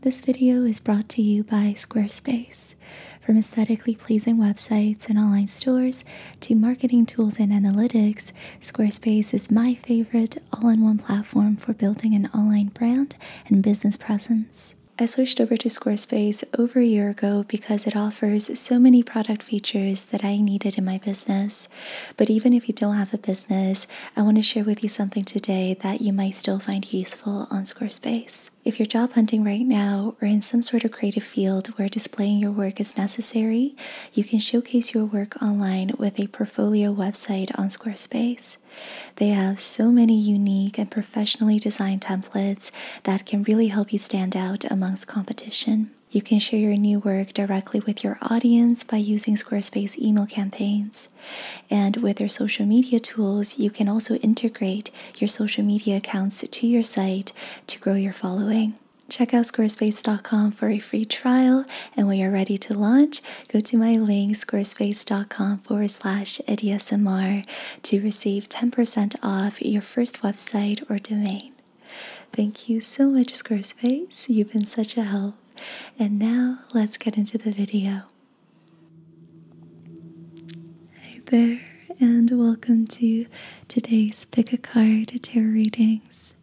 This video is brought to you by Squarespace. From aesthetically pleasing websites and online stores to marketing tools and analytics, Squarespace is my favorite all in one platform for building an online brand and business presence. I switched over to Squarespace over a year ago because it offers so many product features that I needed in my business. But even if you don't have a business, I want to share with you something today that you might still find useful on Squarespace. If you're job hunting right now or in some sort of creative field where displaying your work is necessary, you can showcase your work online with a portfolio website on Squarespace. They have so many unique and professionally designed templates that can really help you stand out amongst competition. You can share your new work directly with your audience by using Squarespace email campaigns. And with your social media tools, you can also integrate your social media accounts to your site to grow your following. Check out squarespace.com for a free trial, and when you're ready to launch, go to my link squarespace.com forward slash EDSMR to receive 10% off your first website or domain. Thank you so much, Squarespace. You've been such a help. And now let's get into the video. Hey there, and welcome to today's Pick a Card Tarot Readings.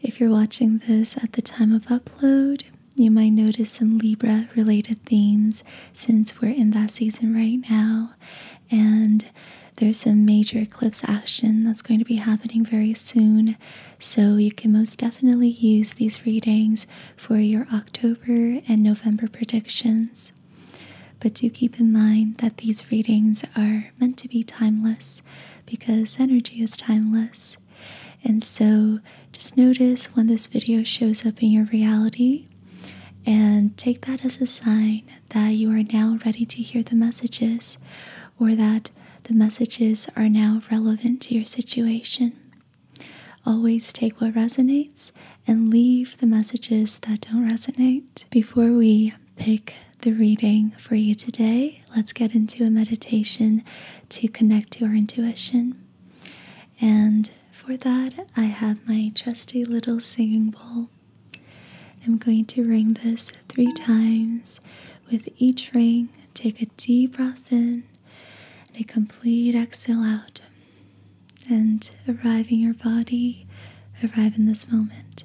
If you're watching this at the time of upload, you might notice some Libra related themes since we're in that season right now, and there's some major eclipse action that's going to be happening very soon. So, you can most definitely use these readings for your October and November predictions. But do keep in mind that these readings are meant to be timeless because energy is timeless. And so just notice when this video shows up in your reality and take that as a sign that you are now ready to hear the messages or that the messages are now relevant to your situation. Always take what resonates and leave the messages that don't resonate. Before we pick the reading for you today, let's get into a meditation to connect to our intuition. And for that, I have my trusty little singing bowl. I'm going to ring this three times. With each ring, take a deep breath in and a complete exhale out and arrive in your body, arrive in this moment.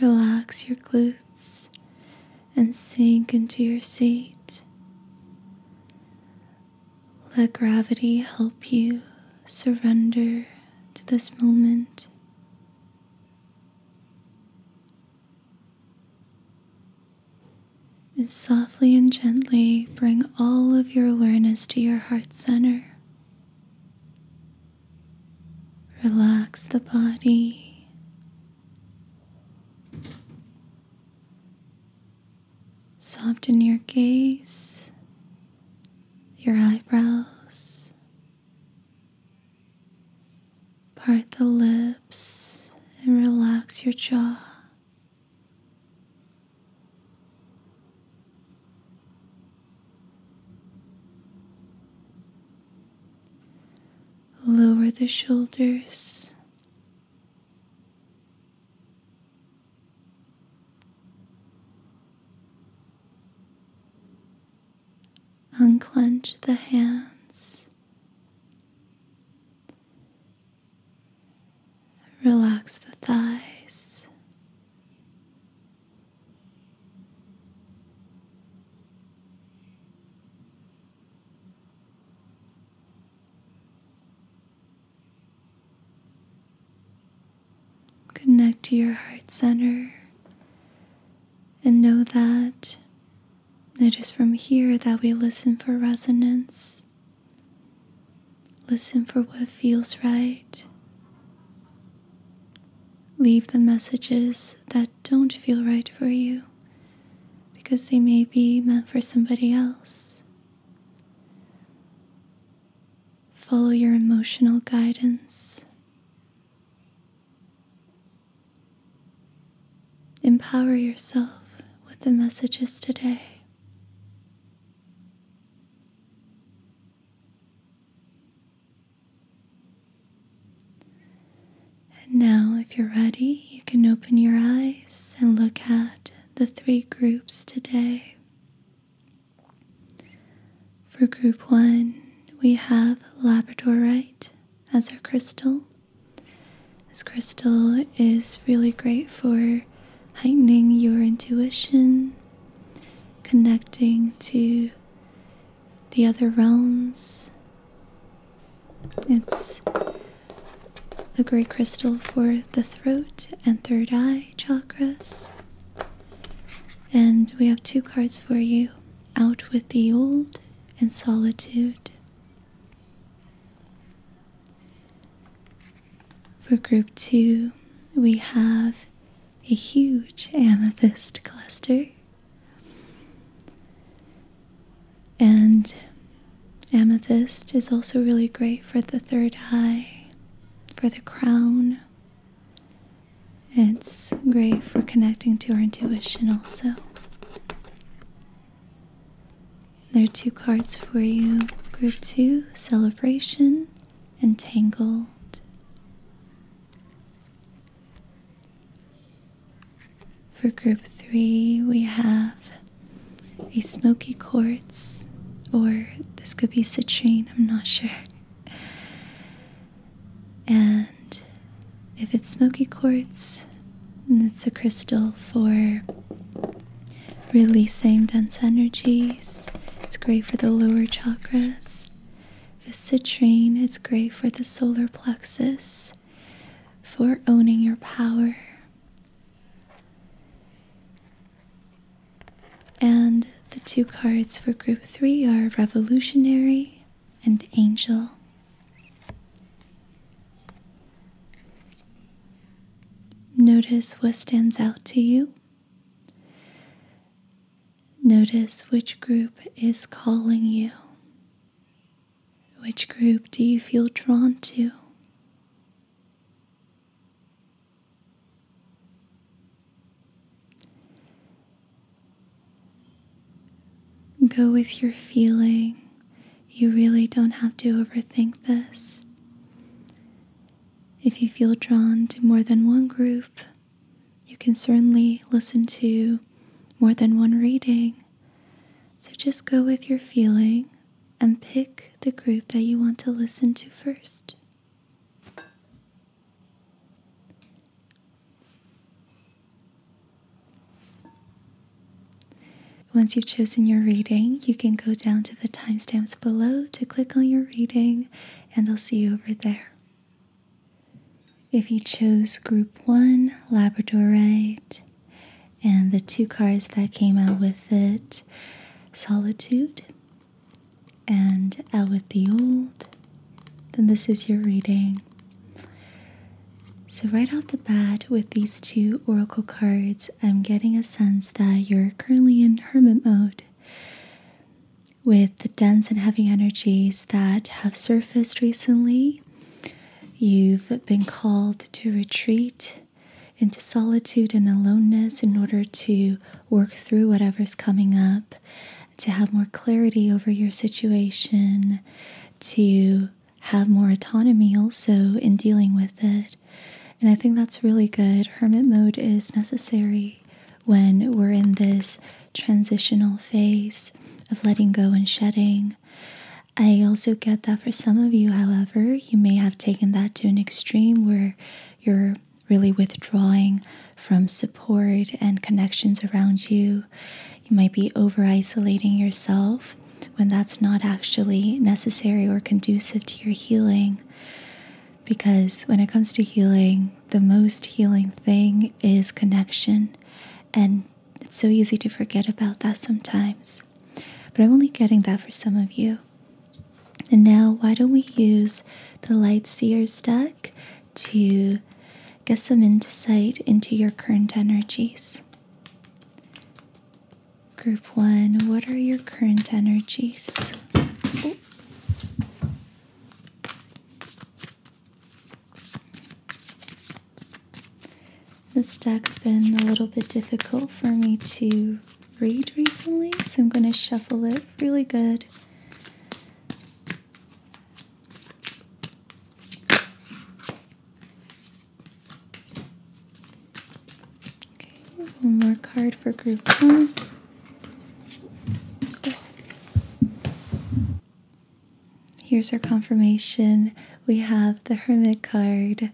Relax your glutes and sink into your seat. Let gravity help you surrender to this moment. And soften and gently bring all of your awareness to your heart center. Relax the body. Soften your gaze, your eyebrows. Part the lips and relax your jaw Lower the shoulders. Unclench the hands Relax the thighs. Connect to your heart center and know that it is from here that we listen for resonance Listen for what feels right. Leave the messages that don't feel right for you because they may be meant for somebody else. Follow your emotional guidance. Empower yourself with the messages today. And now, if you're ready, you can open your eyes and look at the three groups today. For group one, we have Labradorite as our crystal. This crystal is really great for heightening your intuition, connecting to the other realms. It's a gray crystal for the throat and third eye chakras. And we have two cards for you Out with the Old and Solitude. For group two, we have a huge amethyst cluster. And amethyst is also really great for the third eye, for the crown. It's great for connecting to our intuition also. There are two cards for you Group 2 Celebration, Entangled. For group three, we have a smoky quartz, or this could be citrine, I'm not sure. And if it's smoky quartz, then it's a crystal for releasing dense energies. It's great for the lower chakras. Citrine, it's great for the solar plexus, for owning your power. And the two cards for group three are Revolutionary and Angel. Notice what stands out to you. Notice which group is calling you. Which group do you feel drawn to? Go with your feeling. You really don't have to overthink this. If you feel drawn to more than one group, you can certainly listen to more than one reading. So just go with your feeling and pick the group that you want to listen to first. Once you've chosen your reading, you can go down to the timestamps below to click on your reading, and I'll see you over there. If you chose Group 1, Labradorite, and the two cards that came out with it, Solitude and Out with the Old, then this is your reading. So, right off the bat, with these two oracle cards, I'm getting a sense that you're currently in hermit mode with the dense and heavy energies that have surfaced recently. You've been called to retreat into solitude and aloneness in order to work through whatever's coming up, to have more clarity over your situation, to have more autonomy also in dealing with it. And I think that's really good. Hermit mode is necessary when we're in this transitional phase of letting go and shedding. I also get that for some of you, however, you may have taken that to an extreme where you're really withdrawing from support and connections around you. You might be over isolating yourself when that's not actually necessary or conducive to your healing because when it comes to healing, the most healing thing is connection, and it's so easy to forget about that sometimes. But I'm only getting that for some of you. And now, why don't we use the Light Seer's deck to get some insight into your current energies? Group one, what are your current energies? This deck's been a little bit difficult for me to read recently, so I'm going to shuffle it really good. Okay, one more card for group one. Here's our confirmation. We have the Hermit card,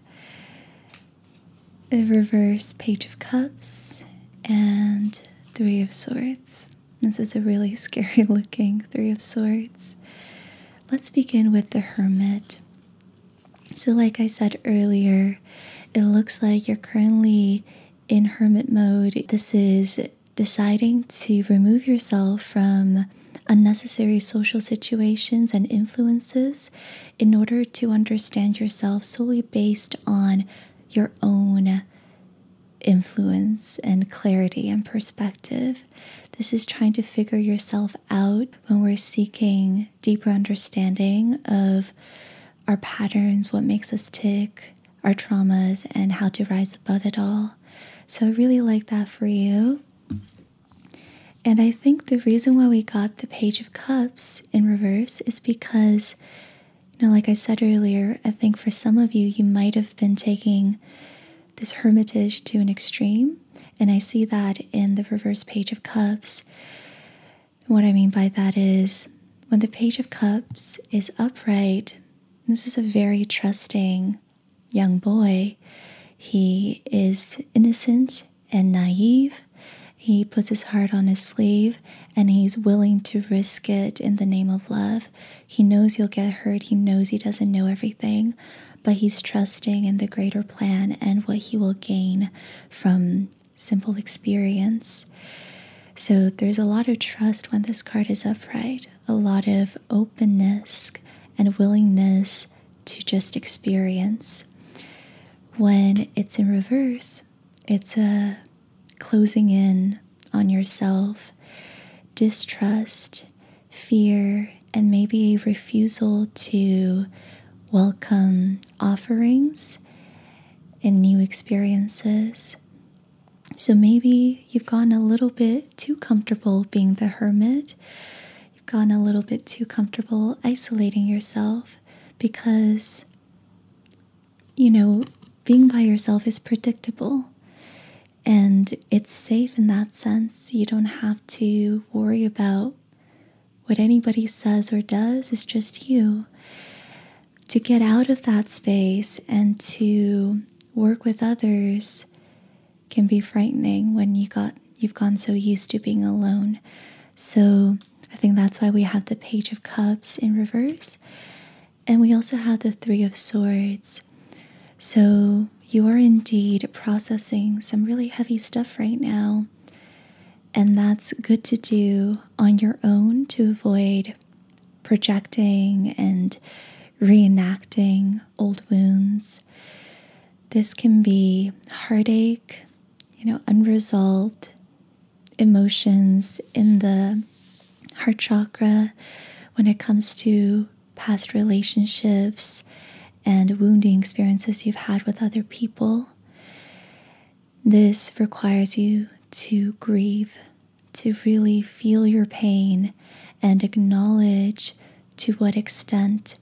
the reverse Page of Cups, and Three of Swords. This is a really scary looking Three of Swords. Let's begin with the Hermit. So, like I said earlier, it looks like you're currently in hermit mode. This is deciding to remove yourself from unnecessary social situations and influences in order to understand yourself solely based on your own influence and clarity and perspective. This is trying to figure yourself out when we're seeking deeper understanding of our patterns, what makes us tick, our traumas, and how to rise above it all. So I really like that for you. And I think the reason why we got the Page of Cups in reverse is because, you know, like I said earlier, I think for some of you, you might have been taking this hermitage to an extreme. And I see that in the reverse Page of Cups. What I mean by that is when the Page of Cups is upright, this is a very trusting young boy. He is innocent and naive. He puts his heart on his sleeve and he's willing to risk it in the name of love. He knows he'll get hurt. He knows he doesn't know everything, but he's trusting in the greater plan and what he will gain from simple experience. So there's a lot of trust when this card is upright, a lot of openness and willingness to just experience. When it's in reverse, it's a closing in on yourself, distrust, fear, and maybe a refusal to welcome offerings and new experiences. So maybe you've gotten a little bit too comfortable being the hermit. You've gotten a little bit too comfortable isolating yourself because, you know, being by yourself is predictable and it's safe in that sense. You don't have to worry about what anybody says or does is just you. To get out of that space and to work with others can be frightening when you got you've gone so used to being alone. So I think that's why we have the page of cups in reverse. And we also have the three of swords. So you are indeed processing some really heavy stuff right now. And that's good to do on your own to avoid projecting and reenacting old wounds. This can be heartache, you know, unresolved emotions in the heart chakra when it comes to past relationships and wounding experiences you've had with other people. This requires you to grieve, to really feel your pain and acknowledge to what extent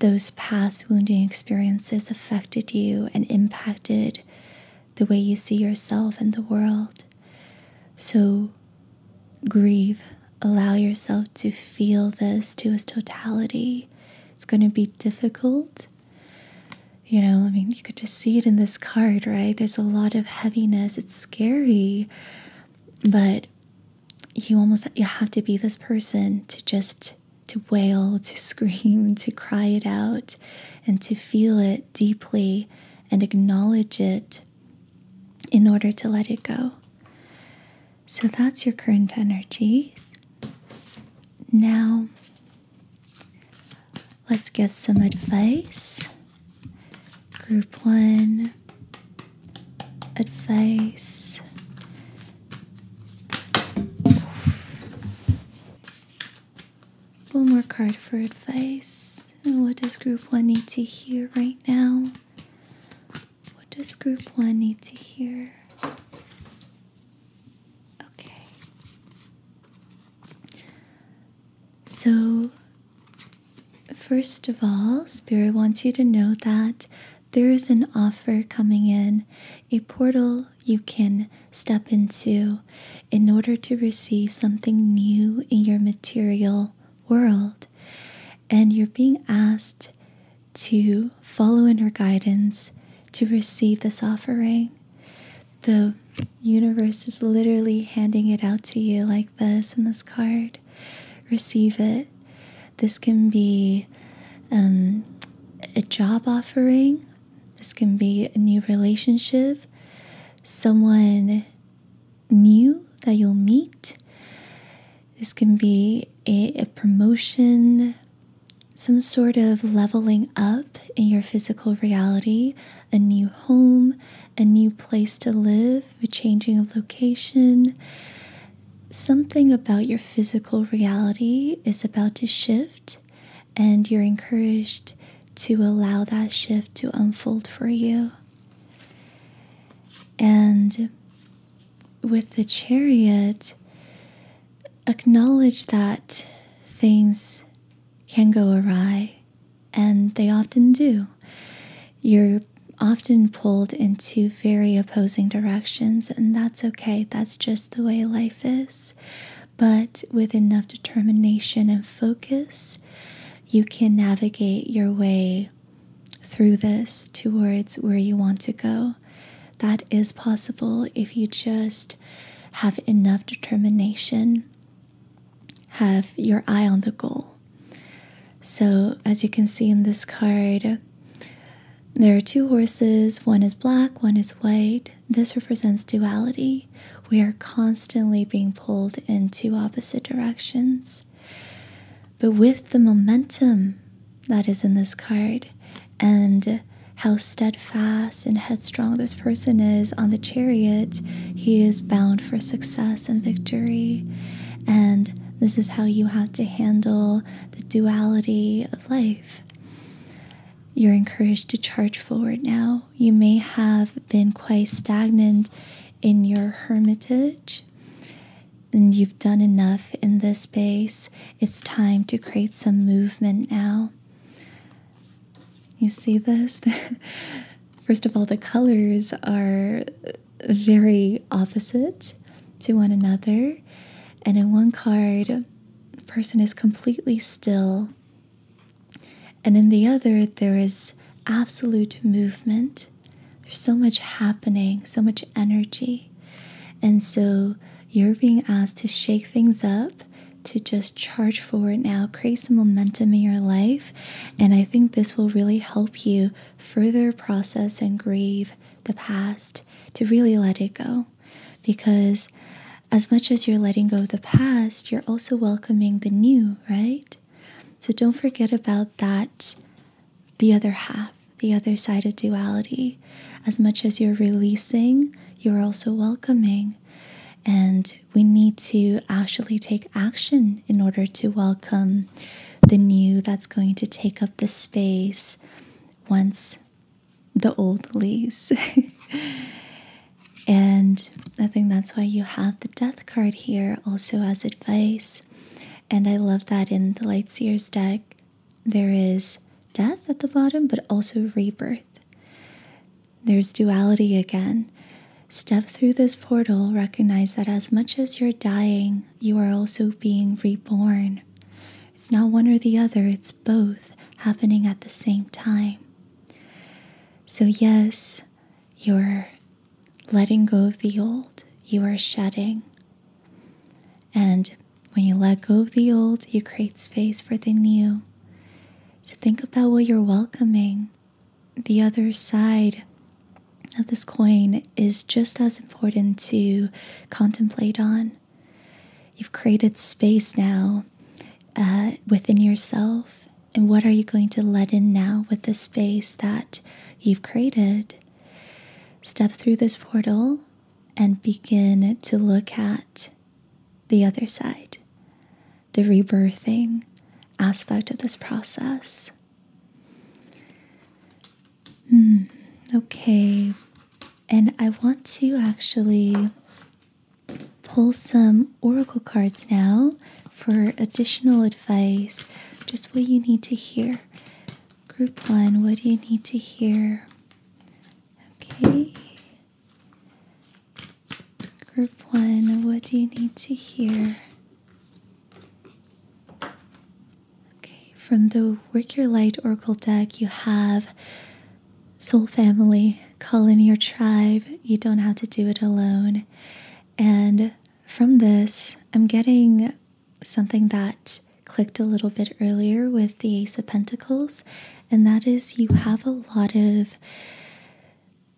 those past wounding experiences affected you and impacted the way you see yourself and the world. So grieve, allow yourself to feel this to its totality. It's going to be difficult you know, I mean, you could just see it in this card, right? There's a lot of heaviness. It's scary, but you almost you have to be this person to just to wail, to scream, to cry it out, and to feel it deeply and acknowledge it in order to let it go. So that's your current energies. Now, Let's get some advice. Group one advice. One more card for advice. And what does group one need to hear right now? What does group one need to hear? Okay. So, first of all, Spirit wants you to know that there is an offer coming in, a portal you can step into in order to receive something new in your material world. And you're being asked to follow in her guidance to receive this offering. The universe is literally handing it out to you like this in this card. Receive it. This can be um, a job offering, this can be a new relationship, someone new that you'll meet. This can be a promotion, some sort of leveling up in your physical reality, a new home, a new place to live, a changing of location. Something about your physical reality is about to shift, and you're encouraged to allow that shift to unfold for you. And with the chariot, acknowledge that things can go awry, and they often do. You're often pulled in two very opposing directions, and that's okay. That's just the way life is. But with enough determination and focus, you can navigate your way through this towards where you want to go. That is possible if you just have enough determination, have your eye on the goal. So, as you can see in this card, there are two horses one is black, one is white. This represents duality. We are constantly being pulled in two opposite directions. But with the momentum that is in this card, and how steadfast and headstrong this person is on the chariot. He is bound for success and victory. And this is how you have to handle the duality of life. You're encouraged to charge forward now. You may have been quite stagnant in your hermitage, and you've done enough in this space. It's time to create some movement now. You see this? First of all, the colors are very opposite to one another. And in one card, person is completely still. And in the other, there is absolute movement. There's so much happening, so much energy. And so you're being asked to shake things up, to just charge forward now, create some momentum in your life. And I think this will really help you further process and grieve the past to really let it go. Because as much as you're letting go of the past, you're also welcoming the new, right? So don't forget about that, the other half, the other side of duality. As much as you're releasing, you're also welcoming. And we need to actually take action in order to welcome the new that's going to take up the space once the old leaves. and I think that's why you have the death card here also as advice. And I love that in the Light Seer's deck, there is death at the bottom, but also rebirth. There's duality again. Step through this portal, recognize that as much as you're dying, you are also being reborn. It's not one or the other, it's both happening at the same time. So, yes, you're letting go of the old, you are shedding. And when you let go of the old, you create space for the new. So think about what you're welcoming. The other side of this coin is just as important to contemplate on. You've created space now uh, within yourself. And what are you going to let in now with the space that you've created? Step through this portal and begin to look at the other side, the rebirthing aspect of this process. Hmm, okay. And I want to actually pull some oracle cards now for additional advice, just what you need to hear. Group one, what do you need to hear? Okay. Group one, what do you need to hear? Okay, from the Work Your Light Oracle deck, you have Soul Family, call in your tribe, you don't have to do it alone. And from this, I'm getting something that clicked a little bit earlier with the Ace of Pentacles, and that is you have a lot of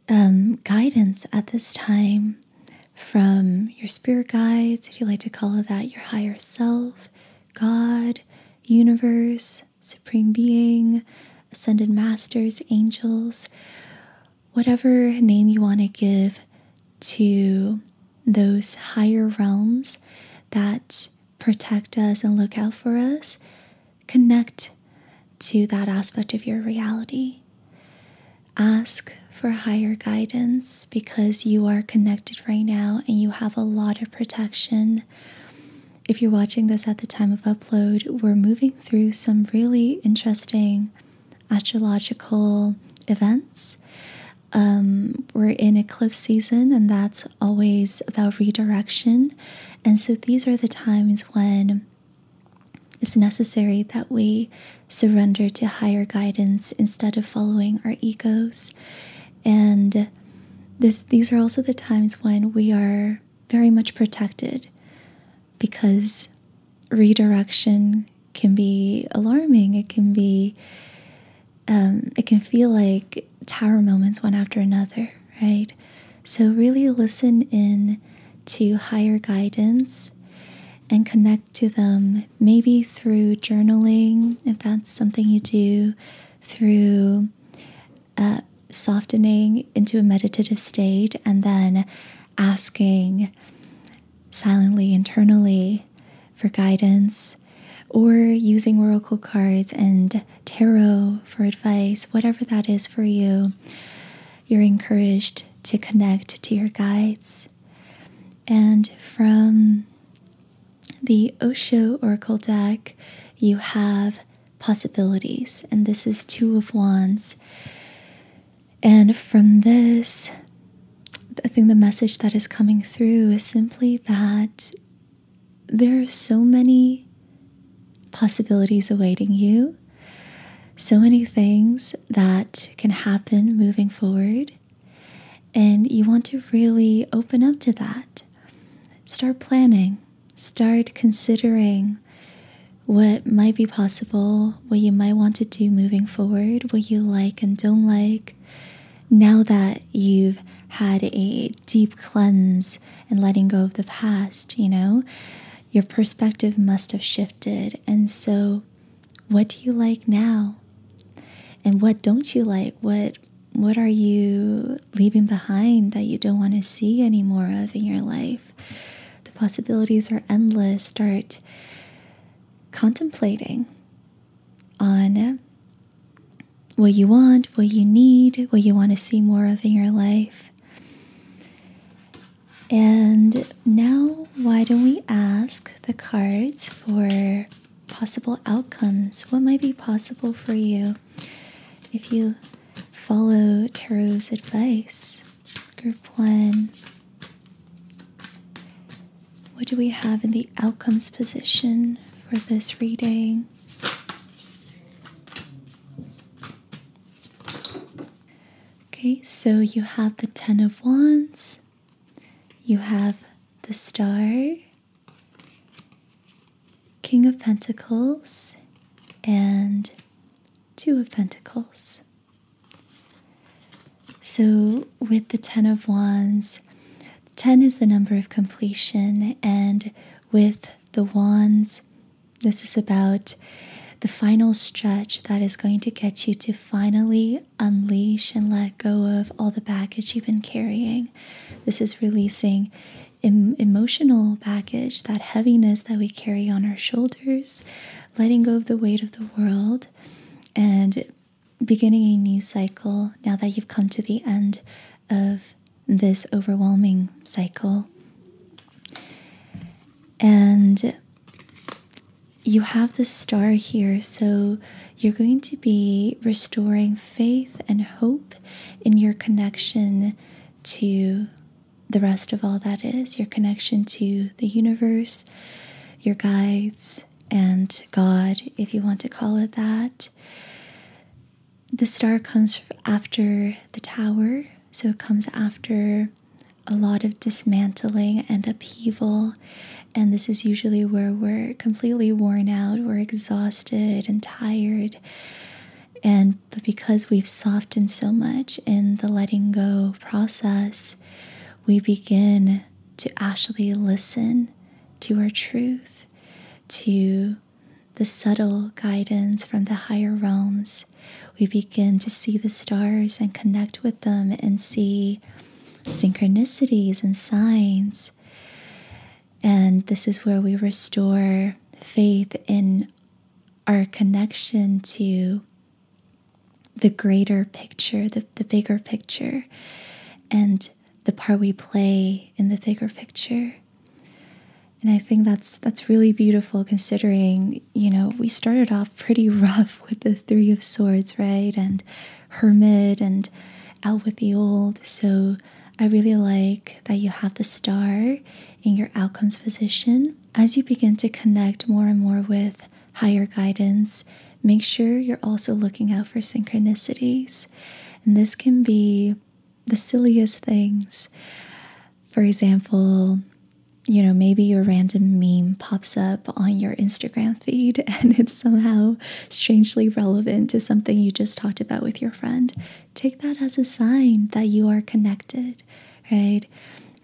um, guidance at this time from your spirit guides, if you like to call it that, your higher self, God, universe, supreme being, ascended masters, angels, whatever name you want to give to those higher realms that protect us and look out for us, connect to that aspect of your reality. Ask for higher guidance because you are connected right now and you have a lot of protection. If you're watching this at the time of upload, we're moving through some really interesting astrological events. Um, we're in eclipse season, and that's always about redirection. And so these are the times when it's necessary that we surrender to higher guidance instead of following our egos. And this, these are also the times when we are very much protected because redirection can be alarming. It can be um, it can feel like tower moments one after another, right? So, really listen in to higher guidance and connect to them, maybe through journaling, if that's something you do, through uh, softening into a meditative state, and then asking silently internally for guidance or using oracle cards and tarot for advice, whatever that is for you, you're encouraged to connect to your guides. And from the Osho Oracle deck, you have possibilities, and this is Two of Wands. And from this, I think the message that is coming through is simply that there are so many possibilities awaiting you, so many things that can happen moving forward. And you want to really open up to that. Start planning, start considering what might be possible, what you might want to do moving forward, what you like and don't like. Now that you've had a deep cleanse and letting go of the past, you know? Your perspective must have shifted. And so, what do you like now? And what don't you like? What what are you leaving behind that you don't want to see anymore of in your life? The possibilities are endless. Start contemplating on what you want, what you need, what you want to see more of in your life. And now, why don't we ask the cards for possible outcomes? What might be possible for you if you follow Tarot's advice? Group one. What do we have in the outcomes position for this reading? Okay, so you have the Ten of Wands, you have the Star, King of Pentacles, and Two of Pentacles. So, with the Ten of Wands, 10 is the number of completion, and with the wands. This is about the final stretch that is going to get you to finally unleash and let go of all the baggage you've been carrying. This is releasing emotional baggage, that heaviness that we carry on our shoulders, letting go of the weight of the world, and beginning a new cycle now that you've come to the end of this overwhelming cycle. And you have the star here, so you're going to be restoring faith and hope in your connection to the rest of all that is your connection to the universe, your guides, and God, if you want to call it that the star comes after the tower, so it comes after a lot of dismantling and upheaval. And this is usually where we're completely worn out, we're exhausted and tired. And but because we've softened so much in the letting go process, we begin to actually listen to our truth, to the subtle guidance from the higher realms, we begin to see the stars and connect with them and see synchronicities and signs. And this is where we restore faith in our connection to the greater picture, the bigger picture, and the part we play in the bigger picture. And I think that's that's really beautiful considering, you know, we started off pretty rough with the 3 of swords, right? And hermit and out with the old. So I really like that you have the star in your outcomes position. As you begin to connect more and more with higher guidance, make sure you're also looking out for synchronicities. And this can be the silliest things. For example, you know, maybe your random meme pops up on your Instagram feed and it's somehow strangely relevant to something you just talked about with your friend. Take that as a sign that you are connected, right?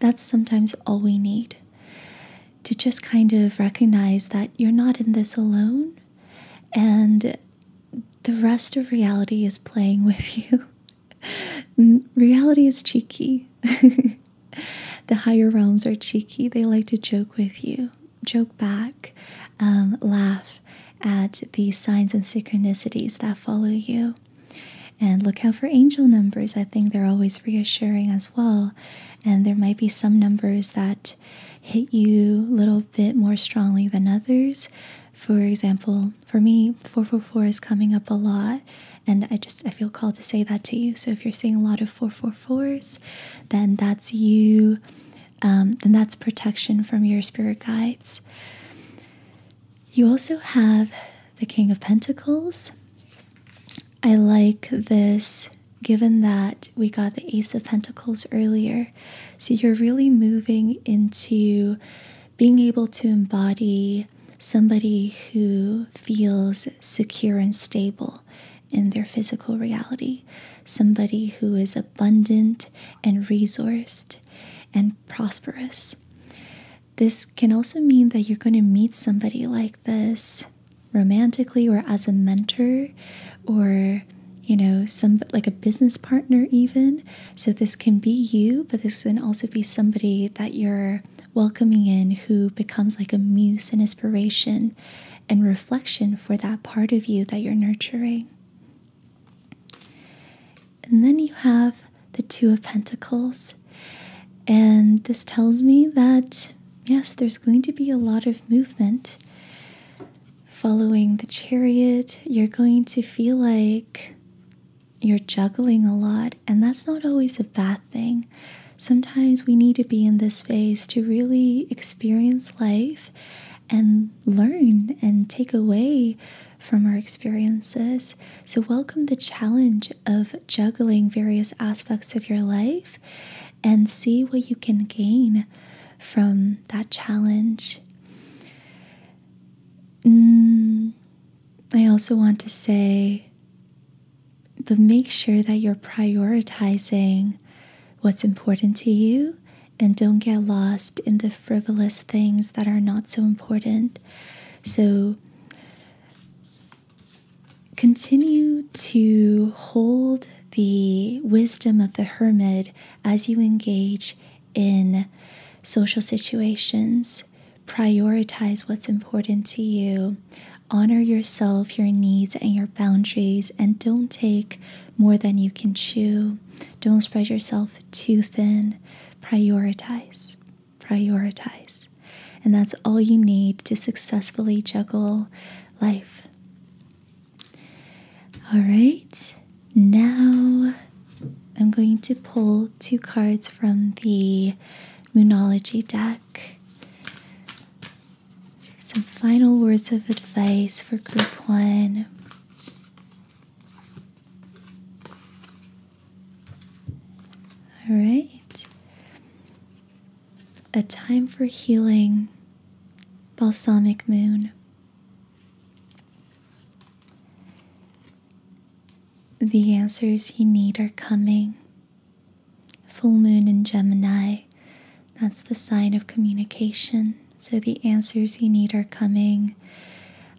That's sometimes all we need to just kind of recognize that you're not in this alone and the rest of reality is playing with you. reality is cheeky. the higher realms are cheeky. They like to joke with you, joke back, um, laugh at the signs and synchronicities that follow you. And look out for angel numbers. I think they're always reassuring as well. And there might be some numbers that hit you a little bit more strongly than others. For example, for me, 444 is coming up a lot, and I just I feel called to say that to you. So if you're seeing a lot of 444s, then that's you, um, Then that's protection from your spirit guides. You also have the King of Pentacles. I like this given that we got the Ace of Pentacles earlier so you're really moving into being able to embody somebody who feels secure and stable in their physical reality, somebody who is abundant and resourced and prosperous. This can also mean that you're going to meet somebody like this romantically or as a mentor or you know, some like a business partner, even. So this can be you, but this can also be somebody that you're welcoming in who becomes like a muse and inspiration and reflection for that part of you that you're nurturing. And then you have the Two of Pentacles. And this tells me that, yes, there's going to be a lot of movement following the chariot, you're going to feel like you're juggling a lot, and that's not always a bad thing. Sometimes we need to be in this phase to really experience life and learn and take away from our experiences. So, welcome the challenge of juggling various aspects of your life and see what you can gain from that challenge Mm, I also want to say, but make sure that you're prioritizing what's important to you and don't get lost in the frivolous things that are not so important. So, continue to hold the wisdom of the hermit as you engage in social situations. Prioritize what's important to you. Honor yourself, your needs, and your boundaries, and don't take more than you can chew. Don't spread yourself too thin. Prioritize, prioritize. And that's all you need to successfully juggle life. All right, now I'm going to pull two cards from the Moonology deck. Some final words of advice for group one. All right. A time for healing, balsamic moon. The answers you need are coming. Full moon in Gemini, that's the sign of communication. So the answers you need are coming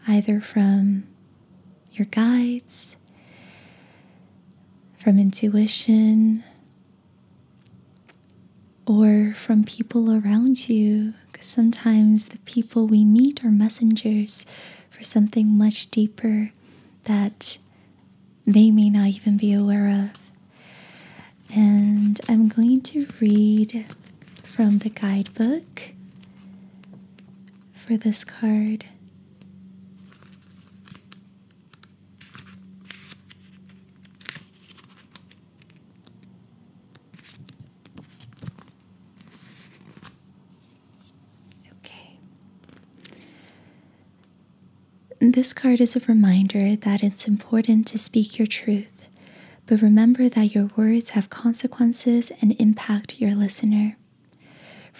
either from your guides, from intuition, or from people around you, because sometimes the people we meet are messengers for something much deeper that they may not even be aware of. And I'm going to read from the guidebook for this card. Okay. This card is a reminder that it's important to speak your truth, but remember that your words have consequences and impact your listener.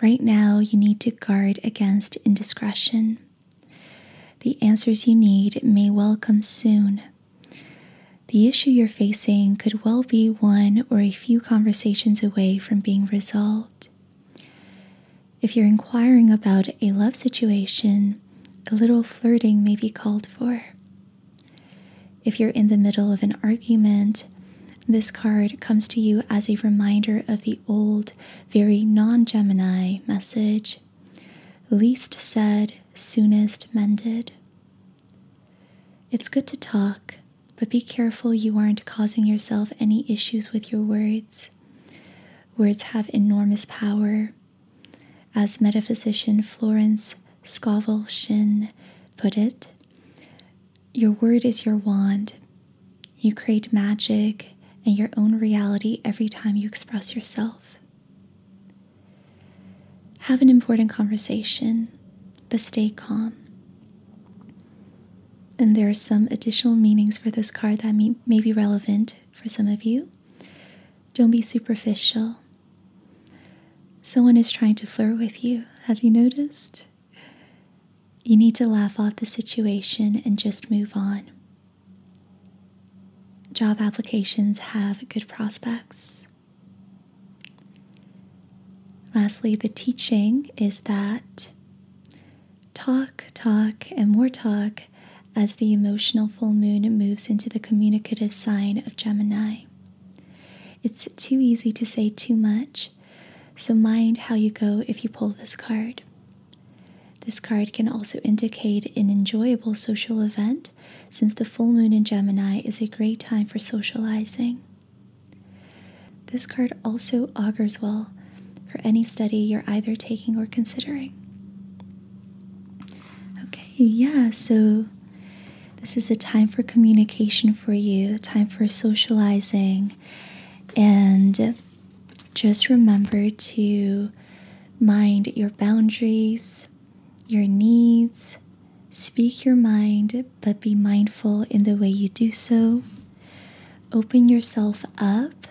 Right now, you need to guard against indiscretion. The answers you need may well come soon, the issue you're facing could well be one or a few conversations away from being resolved. If you're inquiring about a love situation, a little flirting may be called for. If you're in the middle of an argument, this card comes to you as a reminder of the old, very non Gemini message least said, soonest mended. It's good to talk, but be careful you aren't causing yourself any issues with your words. Words have enormous power. As metaphysician Florence Scovel Shinn put it, your word is your wand. You create magic and your own reality every time you express yourself. Have an important conversation, but stay calm. And there are some additional meanings for this card that may, be relevant for some of you. Don't be superficial. Someone is trying to flirt with you. Have you noticed? You need to laugh off the situation and just move on. Job applications have good prospects. Lastly, the teaching is that talk, talk, and more talk as the emotional full moon moves into the communicative sign of Gemini. It's too easy to say too much, so mind how you go if you pull this card. This card can also indicate an enjoyable social event since the full moon in Gemini is a great time for socializing. This card also augurs well for any study you're either taking or considering. Okay, yeah, so this is a time for communication for you, time for socializing, and just remember to mind your boundaries your needs. Speak your mind, but be mindful in the way you do so. Open yourself up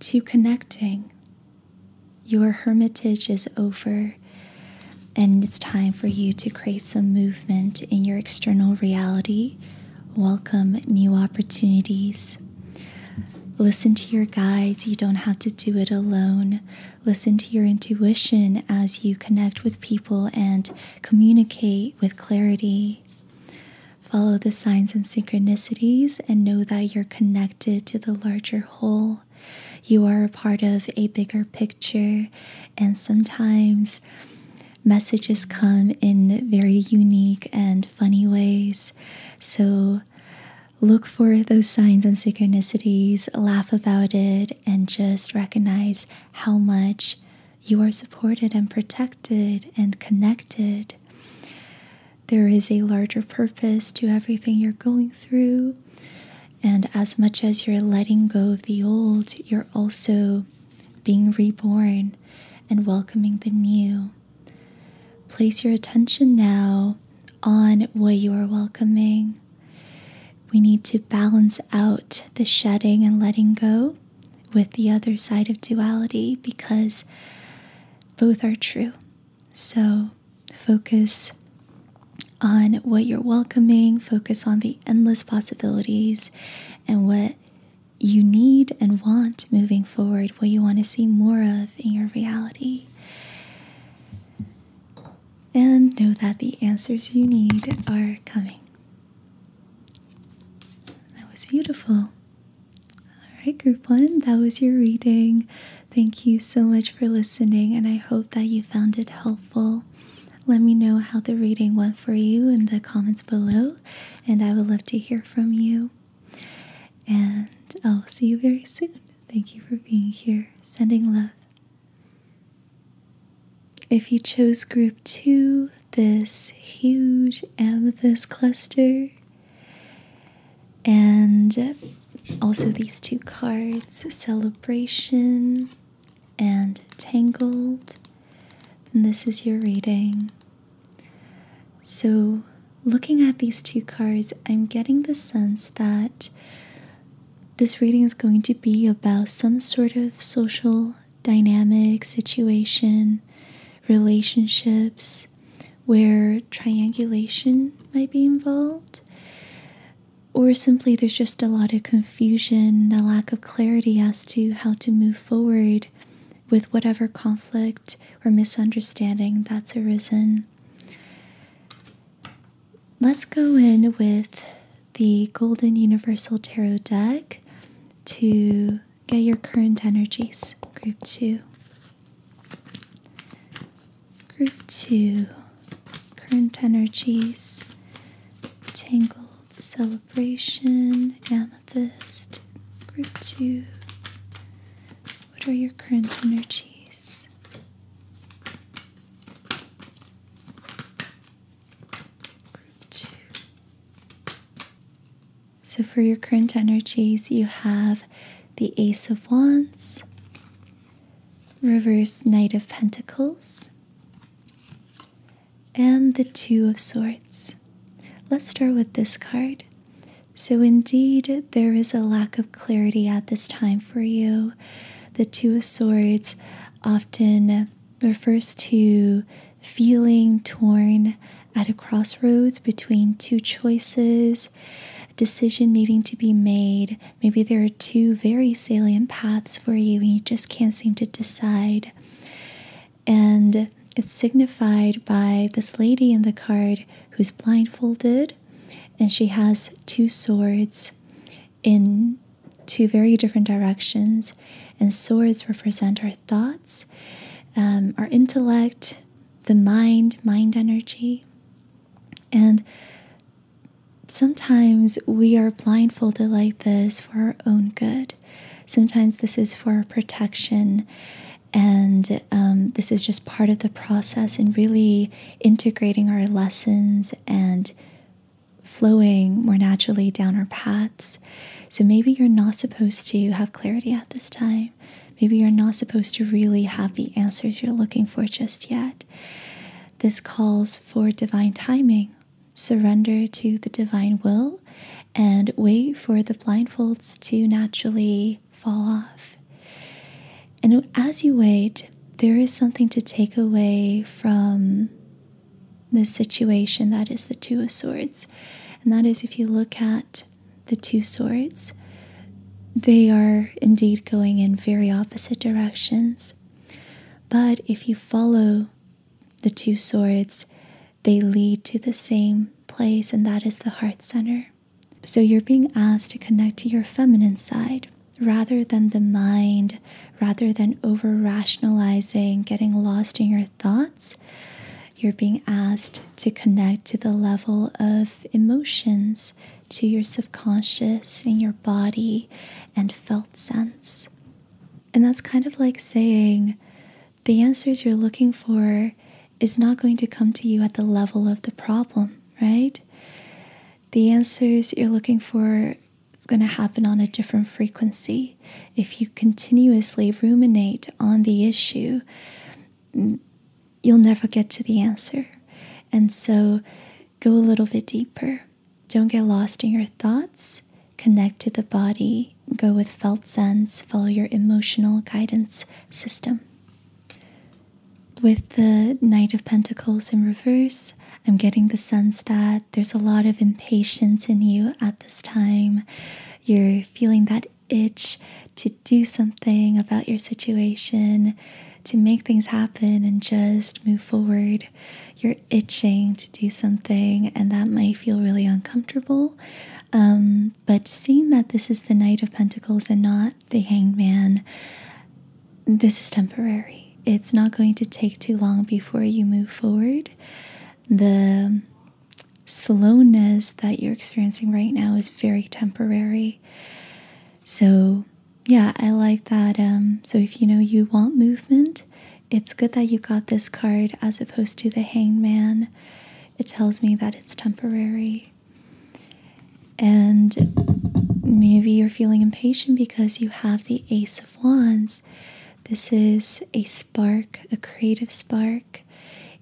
to connecting. Your hermitage is over, and it's time for you to create some movement in your external reality. Welcome new opportunities. Listen to your guides. You don't have to do it alone listen to your intuition as you connect with people and communicate with clarity. Follow the signs and synchronicities and know that you're connected to the larger whole. You are a part of a bigger picture, and sometimes messages come in very unique and funny ways. So, look for those signs and synchronicities, laugh about it, and just recognize how much you are supported and protected and connected. There is a larger purpose to everything you're going through. And as much as you're letting go of the old, you're also being reborn and welcoming the new. Place your attention now on what you are welcoming. We need to balance out the shedding and letting go with the other side of duality because both are true. So focus on what you're welcoming, focus on the endless possibilities and what you need and want moving forward, what you want to see more of in your reality and know that the answers you need are coming. That was beautiful. All right, group one, that was your reading. Thank you so much for listening, and I hope that you found it helpful. Let me know how the reading went for you in the comments below, and I would love to hear from you. And I'll see you very soon. Thank you for being here. Sending love. If you chose group two, this huge amethyst cluster, and also these two cards, Celebration and Tangled, then this is your reading. So, looking at these two cards, I'm getting the sense that this reading is going to be about some sort of social dynamic, situation, relationships where triangulation might be involved. Or simply, there's just a lot of confusion, a lack of clarity as to how to move forward with whatever conflict or misunderstanding that's arisen. Let's go in with the Golden Universal Tarot deck to get your current energies. Group two. Group two. Current energies. Tangled Celebration. Amethyst. Group two. What are your current energies? So, for your current energies, you have the Ace of Wands, Reverse Knight of Pentacles, and the Two of Swords. Let's start with this card. So, indeed, there is a lack of clarity at this time for you. The Two of Swords often refers to feeling torn at a crossroads between two choices, decision needing to be made. Maybe there are two very salient paths for you and you just can't seem to decide. And it's signified by this lady in the card who's blindfolded and she has two swords in two very different directions. And swords represent our thoughts, um, our intellect, the mind, mind energy. And sometimes we are blindfolded like this for our own good. Sometimes this is for protection, and um, this is just part of the process and really integrating our lessons and flowing more naturally down our paths. So maybe you're not supposed to have clarity at this time. Maybe you're not supposed to really have the answers you're looking for just yet. This calls for divine timing. Surrender to the divine will and wait for the blindfolds to naturally fall off. And as you wait, there is something to take away from this situation that is the Two of Swords. And that is if you look at the Two Swords, they are indeed going in very opposite directions. But if you follow the Two Swords, they lead to the same place, and that is the heart center. So you're being asked to connect to your feminine side rather than the mind, rather than over rationalizing, getting lost in your thoughts, you're being asked to connect to the level of emotions, to your subconscious and your body and felt sense. And that's kind of like saying the answers you're looking for is not going to come to you at the level of the problem, right? the answers you're looking for is going to happen on a different frequency. If you continuously ruminate on the issue, mm, you'll never get to the answer. And so go a little bit deeper. Don't get lost in your thoughts. Connect to the body. Go with felt sense. Follow your emotional guidance system. With the Knight of Pentacles in reverse, I'm getting the sense that there's a lot of impatience in you at this time. You're feeling that itch to do something about your situation, to make things happen and just move forward. You're itching to do something, and that might feel really uncomfortable. Um, but seeing that this is the Knight of Pentacles and not the hanged man, this is temporary. It's not going to take too long before you move forward. The slowness that you're experiencing right now is very temporary. So, yeah, I like that. Um, so, if you know you want movement, it's good that you got this card as opposed to the hanged man. It tells me that it's temporary. And maybe you're feeling impatient because you have the Ace of Wands. This is a spark, a creative spark,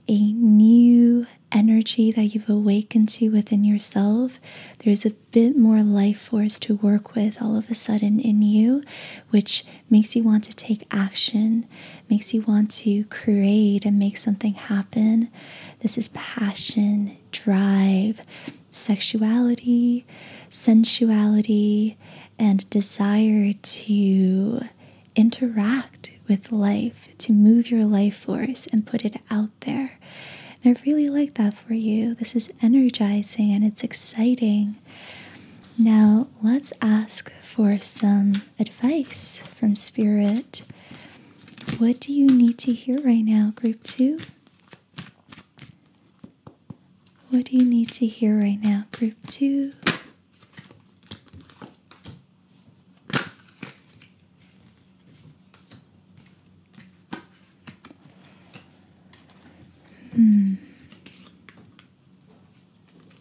a new energy that you've awakened to within yourself. There's a bit more life force to work with all of a sudden in you, which makes you want to take action, makes you want to create and make something happen. This is passion, drive, sexuality, sensuality, and desire to interact with life, to move your life force and put it out there. And I really like that for you. This is energizing and it's exciting. Now, let's ask for some advice from Spirit. What do you need to hear right now, Group 2? What do you need to hear right now, group two? Hmm.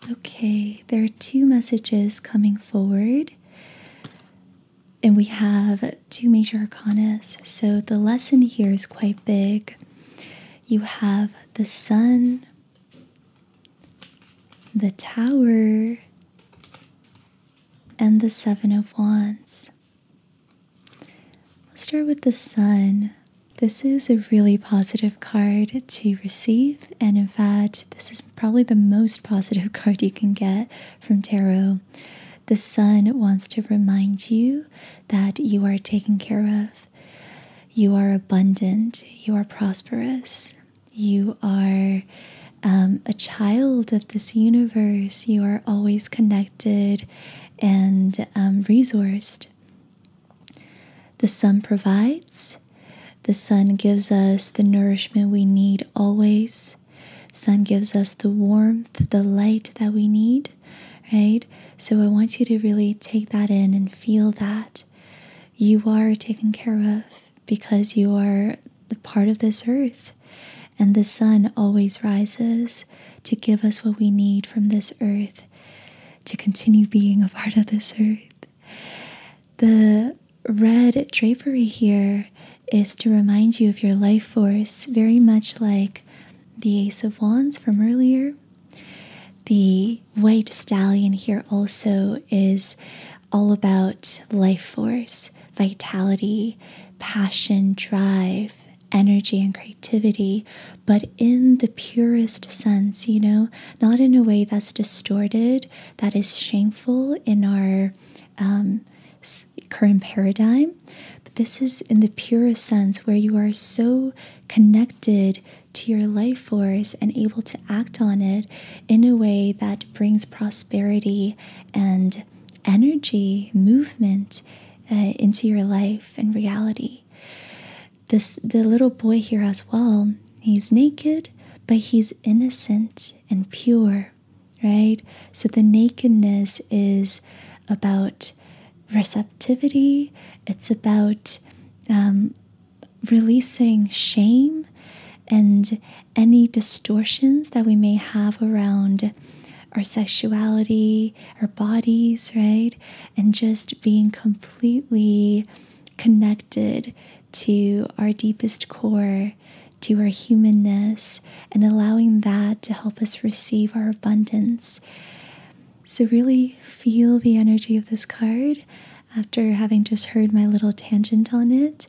Okay, there are two messages coming forward. And we have two major arcanas. So the lesson here is quite big. You have the sun, the tower, and the seven of wands. Let's start with the sun. This is a really positive card to receive, and in fact, this is probably the most positive card you can get from tarot the sun wants to remind you that you are taken care of, you are abundant, you are prosperous, you are. Um, a child of this universe, you are always connected and um, resourced. The sun provides, the sun gives us the nourishment we need always. Sun gives us the warmth, the light that we need, right? So I want you to really take that in and feel that you are taken care of because you are the part of this earth. And the sun always rises to give us what we need from this earth to continue being a part of this earth. The red drapery here is to remind you of your life force, very much like the Ace of Wands from earlier. The white stallion here also is all about life force, vitality, passion, drive, energy, and creativity, but in the purest sense, you know, not in a way that's distorted, that is shameful in our um, current paradigm. But this is in the purest sense where you are so connected to your life force and able to act on it in a way that brings prosperity and energy, movement uh, into your life and reality. This the little boy here as well. He's naked, but he's innocent and pure right? So the nakedness is about receptivity, it's about um, releasing shame and any distortions that we may have around our sexuality, our bodies, right? And just being completely connected to our deepest core, to our humanness and allowing that to help us receive our abundance. So, really feel the energy of this card after having just heard my little tangent on it.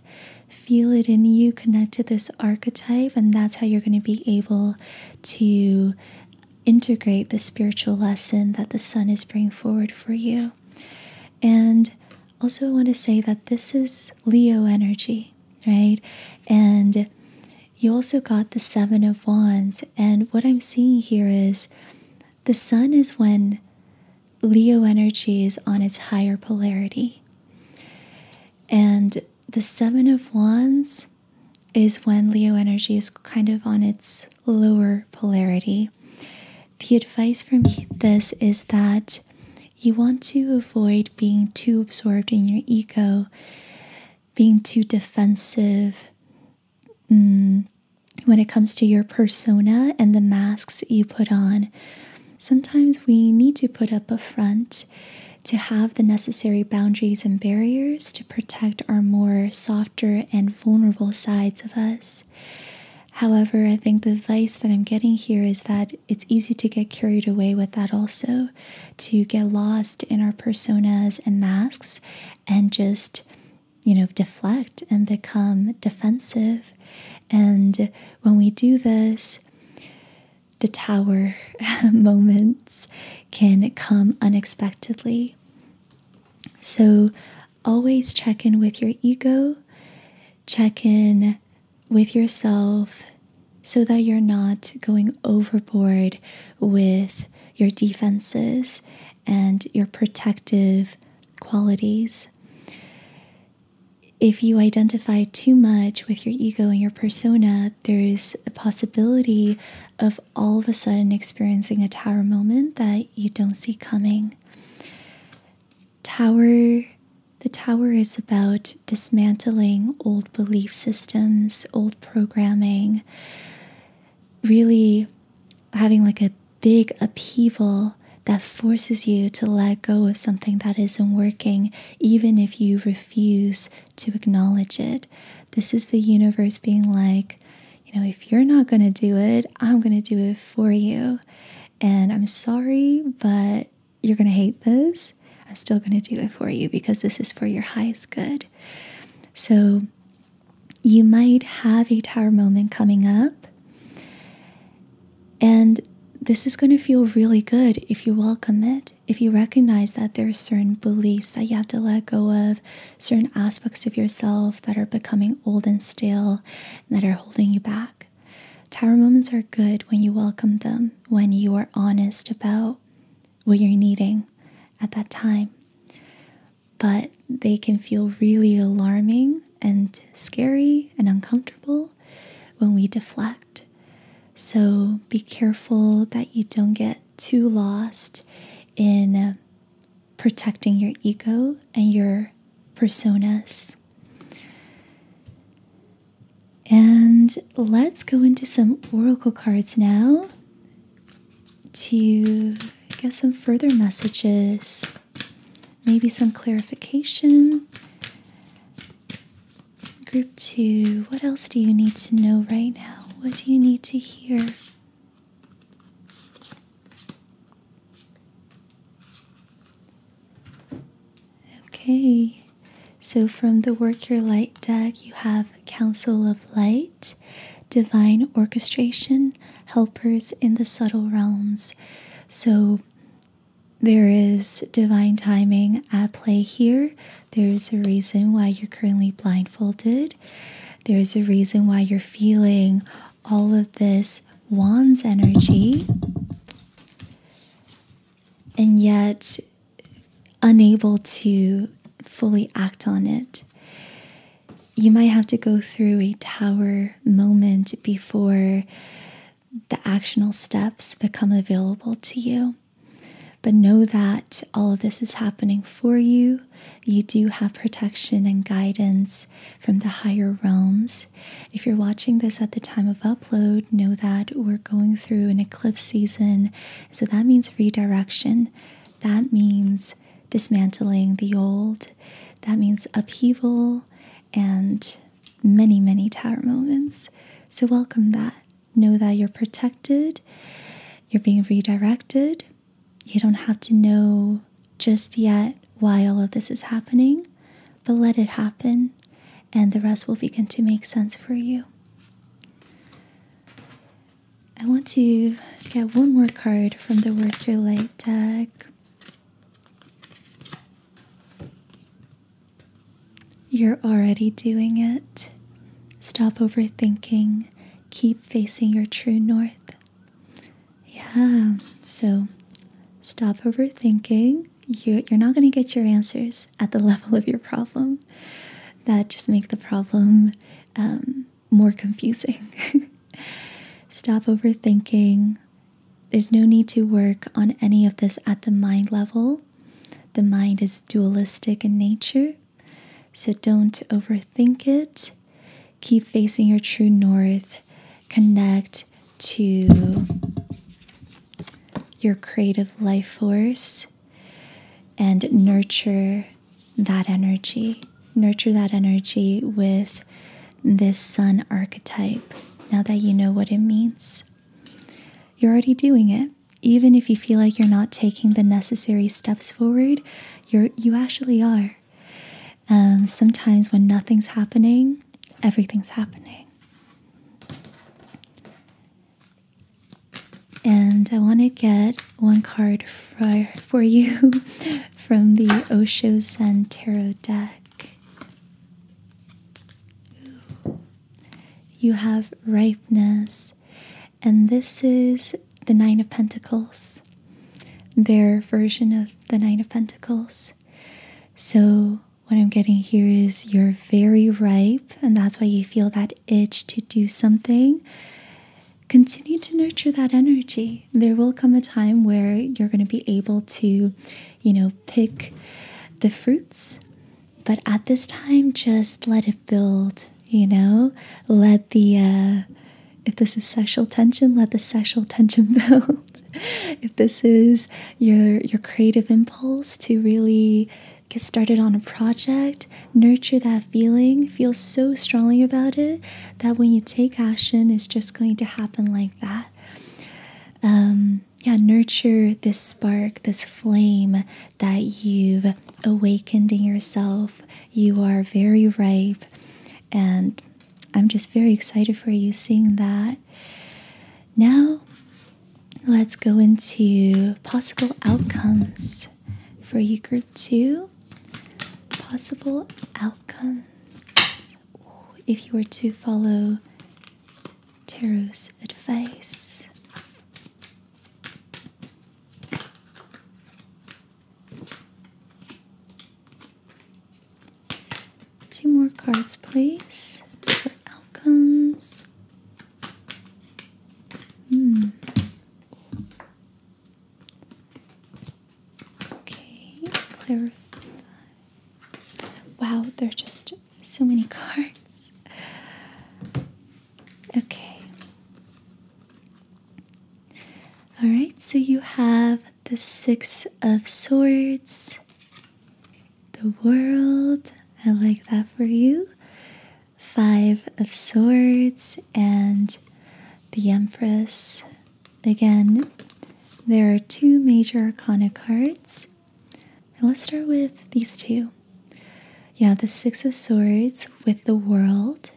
Feel it in you, connect to this archetype, and that's how you're going to be able to integrate the spiritual lesson that the sun is bringing forward for you. And also, I want to say that this is Leo energy right? And you also got the Seven of Wands. And what I'm seeing here is the sun is when Leo energy is on its higher polarity. And the Seven of Wands is when Leo energy is kind of on its lower polarity. The advice from this is that you want to avoid being too absorbed in your ego, being too defensive mm, when it comes to your persona and the masks you put on. Sometimes we need to put up a front to have the necessary boundaries and barriers to protect our more softer and vulnerable sides of us. However, I think the advice that I'm getting here is that it's easy to get carried away with that also, to get lost in our personas and masks and just, you know, deflect and become defensive. And when we do this, the tower moments can come unexpectedly. So, always check in with your ego, check in with yourself so that you're not going overboard with your defenses and your protective qualities. If you identify too much with your ego and your persona, there is a possibility of all of a sudden experiencing a tower moment that you don't see coming. Tower the tower is about dismantling old belief systems, old programming, really having like a big upheaval that forces you to let go of something that isn't working, even if you refuse to acknowledge it. This is the universe being like, you know, if you're not going to do it, I'm going to do it for you. And I'm sorry, but you're going to hate this. I'm still going to do it for you because this is for your highest good. So you might have a tower moment coming up. And this is going to feel really good if you welcome it, if you recognize that there are certain beliefs that you have to let go of, certain aspects of yourself that are becoming old and stale and that are holding you back. Tower moments are good when you welcome them when you are honest about what you're needing at that time. But they can feel really alarming and scary and uncomfortable when we deflect. So be careful that you don't get too lost in protecting your ego and your personas. And let's go into some oracle cards now to get some further messages, maybe some clarification. Group two, what else do you need to know right now? What do you need to hear? Okay, so from the Work Your Light deck, you have Council of Light, Divine Orchestration, Helpers in the Subtle Realms. So there is divine timing at play here. There is a reason why you're currently blindfolded. There is a reason why you're feeling all of this wands energy. And yet, unable to fully act on it. You might have to go through a tower moment before the actional steps become available to you. But know that all of this is happening for you. You do have protection and guidance from the higher realms. If you're watching this at the time of upload, know that we're going through an Cliff season. So that means redirection. That means dismantling the old. That means upheaval and many, many tower moments. So welcome that. Know that you're protected, you're being redirected. You don't have to know just yet why all of this is happening, but let it happen, and the rest will begin to make sense for you. I want to get one more card from the Work Your Light deck. You're already doing it. Stop overthinking. Keep facing your true north. Yeah, so stop overthinking. you're not going to get your answers at the level of your problem that just make the problem um, more confusing. Stop overthinking. There's no need to work on any of this at the mind level. The mind is dualistic in nature, so don't overthink it. Keep facing your true north. Connect to your creative life force and nurture that energy. Nurture that energy with this sun archetype. Now that you know what it means, you're already doing it. Even if you feel like you're not taking the necessary steps forward, you're you actually are. Um, sometimes when nothing's happening, everything's happening. And I want to get one card for, for you from the Osho Zen Tarot deck. You have ripeness, and this is the Nine of Pentacles, their version of the Nine of Pentacles. So what I'm getting here is you're very ripe, and that's why you feel that itch to do something. Continue to nurture that energy. There will come a time where you're going to be able to, you know, pick the fruits. But at this time, just let it build, you know? Let the, uh, if this is sexual tension, let the sexual tension build. if this is your your creative impulse to really get started on a project, nurture that feeling, feel so strongly about it that when you take action, it's just going to happen like that. Um, yeah, nurture this spark, this flame that you've awakened in yourself. You are very ripe, and I'm just very excited for you seeing that. Now, let's go into possible outcomes for you, group two. Possible outcomes. if you were to follow tarot's advice. Two more cards, please, outcomes. Hmm. Okay, clarify. Wow, there are just so many cards. Okay. All right, so you have the Six of Swords, the world. I like that for you. Five of Swords and the Empress. Again, there are two major arcana cards. let's start with these two. Yeah, the Six of Swords with the World.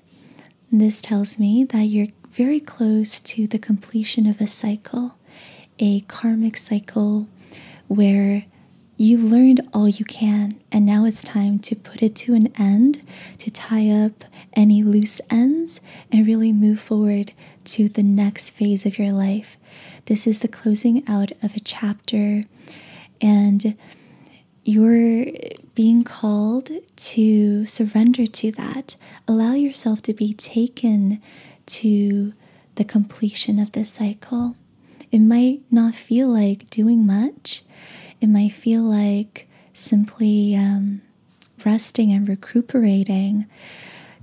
This tells me that you're very close to the completion of a cycle, a karmic cycle where you have learned all you can, and now it's time to put it to an end, to tie up any loose ends, and really move forward to the next phase of your life. This is the closing out of a chapter, and you're being called to surrender to that. Allow yourself to be taken to the completion of this cycle. It might not feel like doing much. It might feel like simply um, resting and recuperating,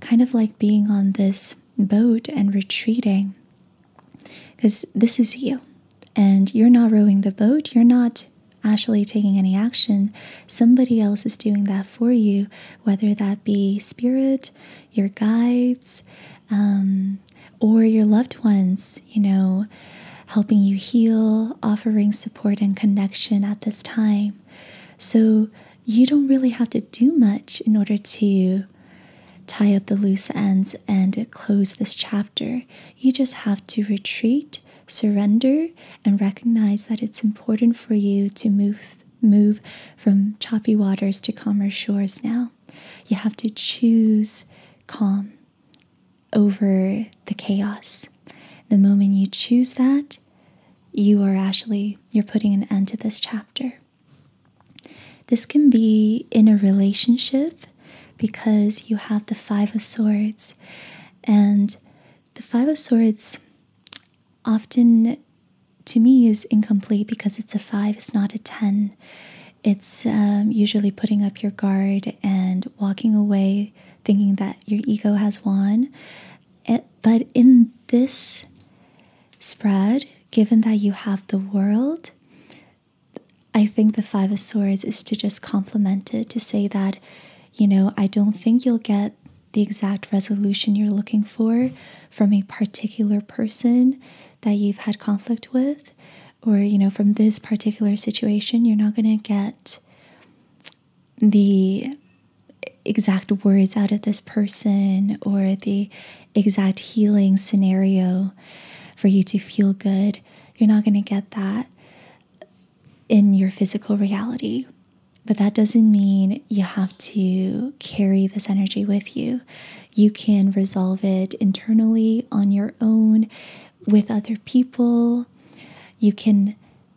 kind of like being on this boat and retreating. Because this is you, and you're not rowing the boat, you're not actually taking any action. Somebody else is doing that for you, whether that be spirit, your guides, um, or your loved ones, you know, helping you heal, offering support and connection at this time. So you don't really have to do much in order to tie up the loose ends and close this chapter. You just have to retreat, surrender, and recognize that it's important for you to move move from choppy waters to calmer shores now. You have to choose calm over the chaos. The moment you choose that, you are actually you're putting an end to this chapter. This can be in a relationship because you have the 5 of swords and the 5 of swords often to me is incomplete because it's a 5 it's not a 10 it's um, usually putting up your guard and walking away thinking that your ego has won. Eh, but in this spread, given that you have the world, I think the Five of Swords is to just complement it, to say that, you know, I don't think you'll get the exact resolution you're looking for from a particular person that you've had conflict with, or, you know, from this particular situation, you're not going to get the exact words out of this person or the exact healing scenario for you to feel good. You're not going to get that in your physical reality. But that doesn't mean you have to carry this energy with you. You can resolve it internally on your own with other people. You can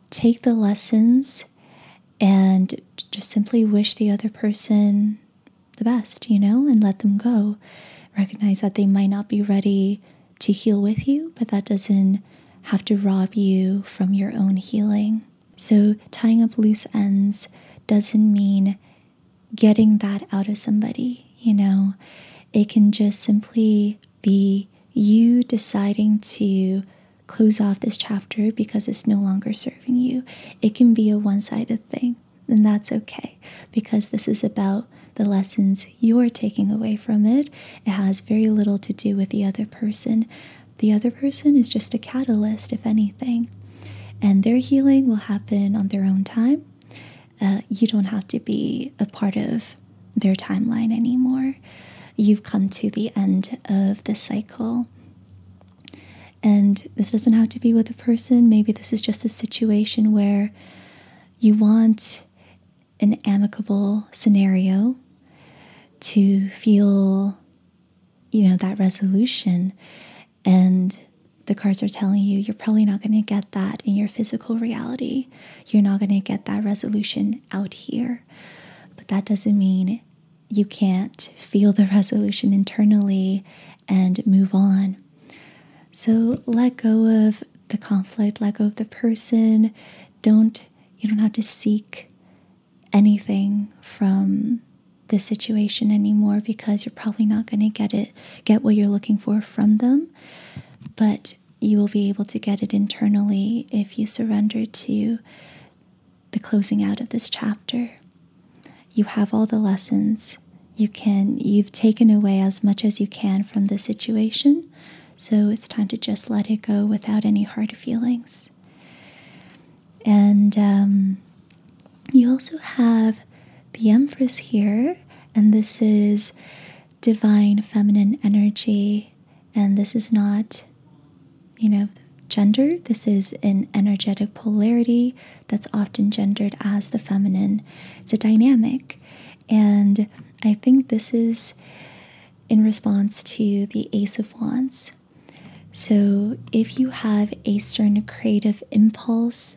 take the lessons and just simply wish the other person the best, you know, and let them go. Recognize that they might not be ready to heal with you, but that doesn't have to rob you from your own healing. So, tying up loose ends doesn't mean getting that out of somebody, you know. It can just simply be you deciding to close off this chapter because it's no longer serving you. It can be a one sided thing, and that's okay because this is about the lessons you're taking away from it. It has very little to do with the other person. The other person is just a catalyst, if anything and their healing will happen on their own time. Uh, you don't have to be a part of their timeline anymore. You've come to the end of the cycle. And this doesn't have to be with a person. Maybe this is just a situation where you want an amicable scenario to feel, you know, that resolution. And the cards are telling you you're probably not going to get that in your physical reality. You're not going to get that resolution out here. But that doesn't mean you can't feel the resolution internally and move on. So let go of the conflict, let go of the person. Don't you don't have to seek anything from the situation anymore because you're probably not going to get it get what you're looking for from them but you will be able to get it internally if you surrender to the closing out of this chapter you have all the lessons you can you've taken away as much as you can from the situation so it's time to just let it go without any hard feelings and um, you also have the Empress here, and this is divine feminine energy, and this is not, you know, gender. This is an energetic polarity that's often gendered as the feminine. It's a dynamic, and I think this is in response to the Ace of Wands. So, if you have a certain creative impulse,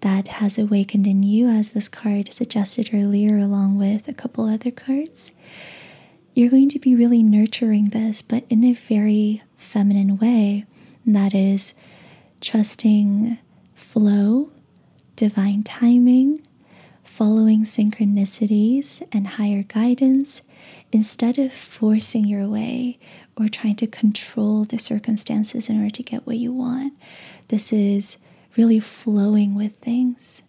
that has awakened in you, as this card suggested earlier, along with a couple other cards. You're going to be really nurturing this, but in a very feminine way. that is trusting flow, divine timing, following synchronicities and higher guidance instead of forcing your way, or trying to control the circumstances in order to get what you want. This is really flowing with things.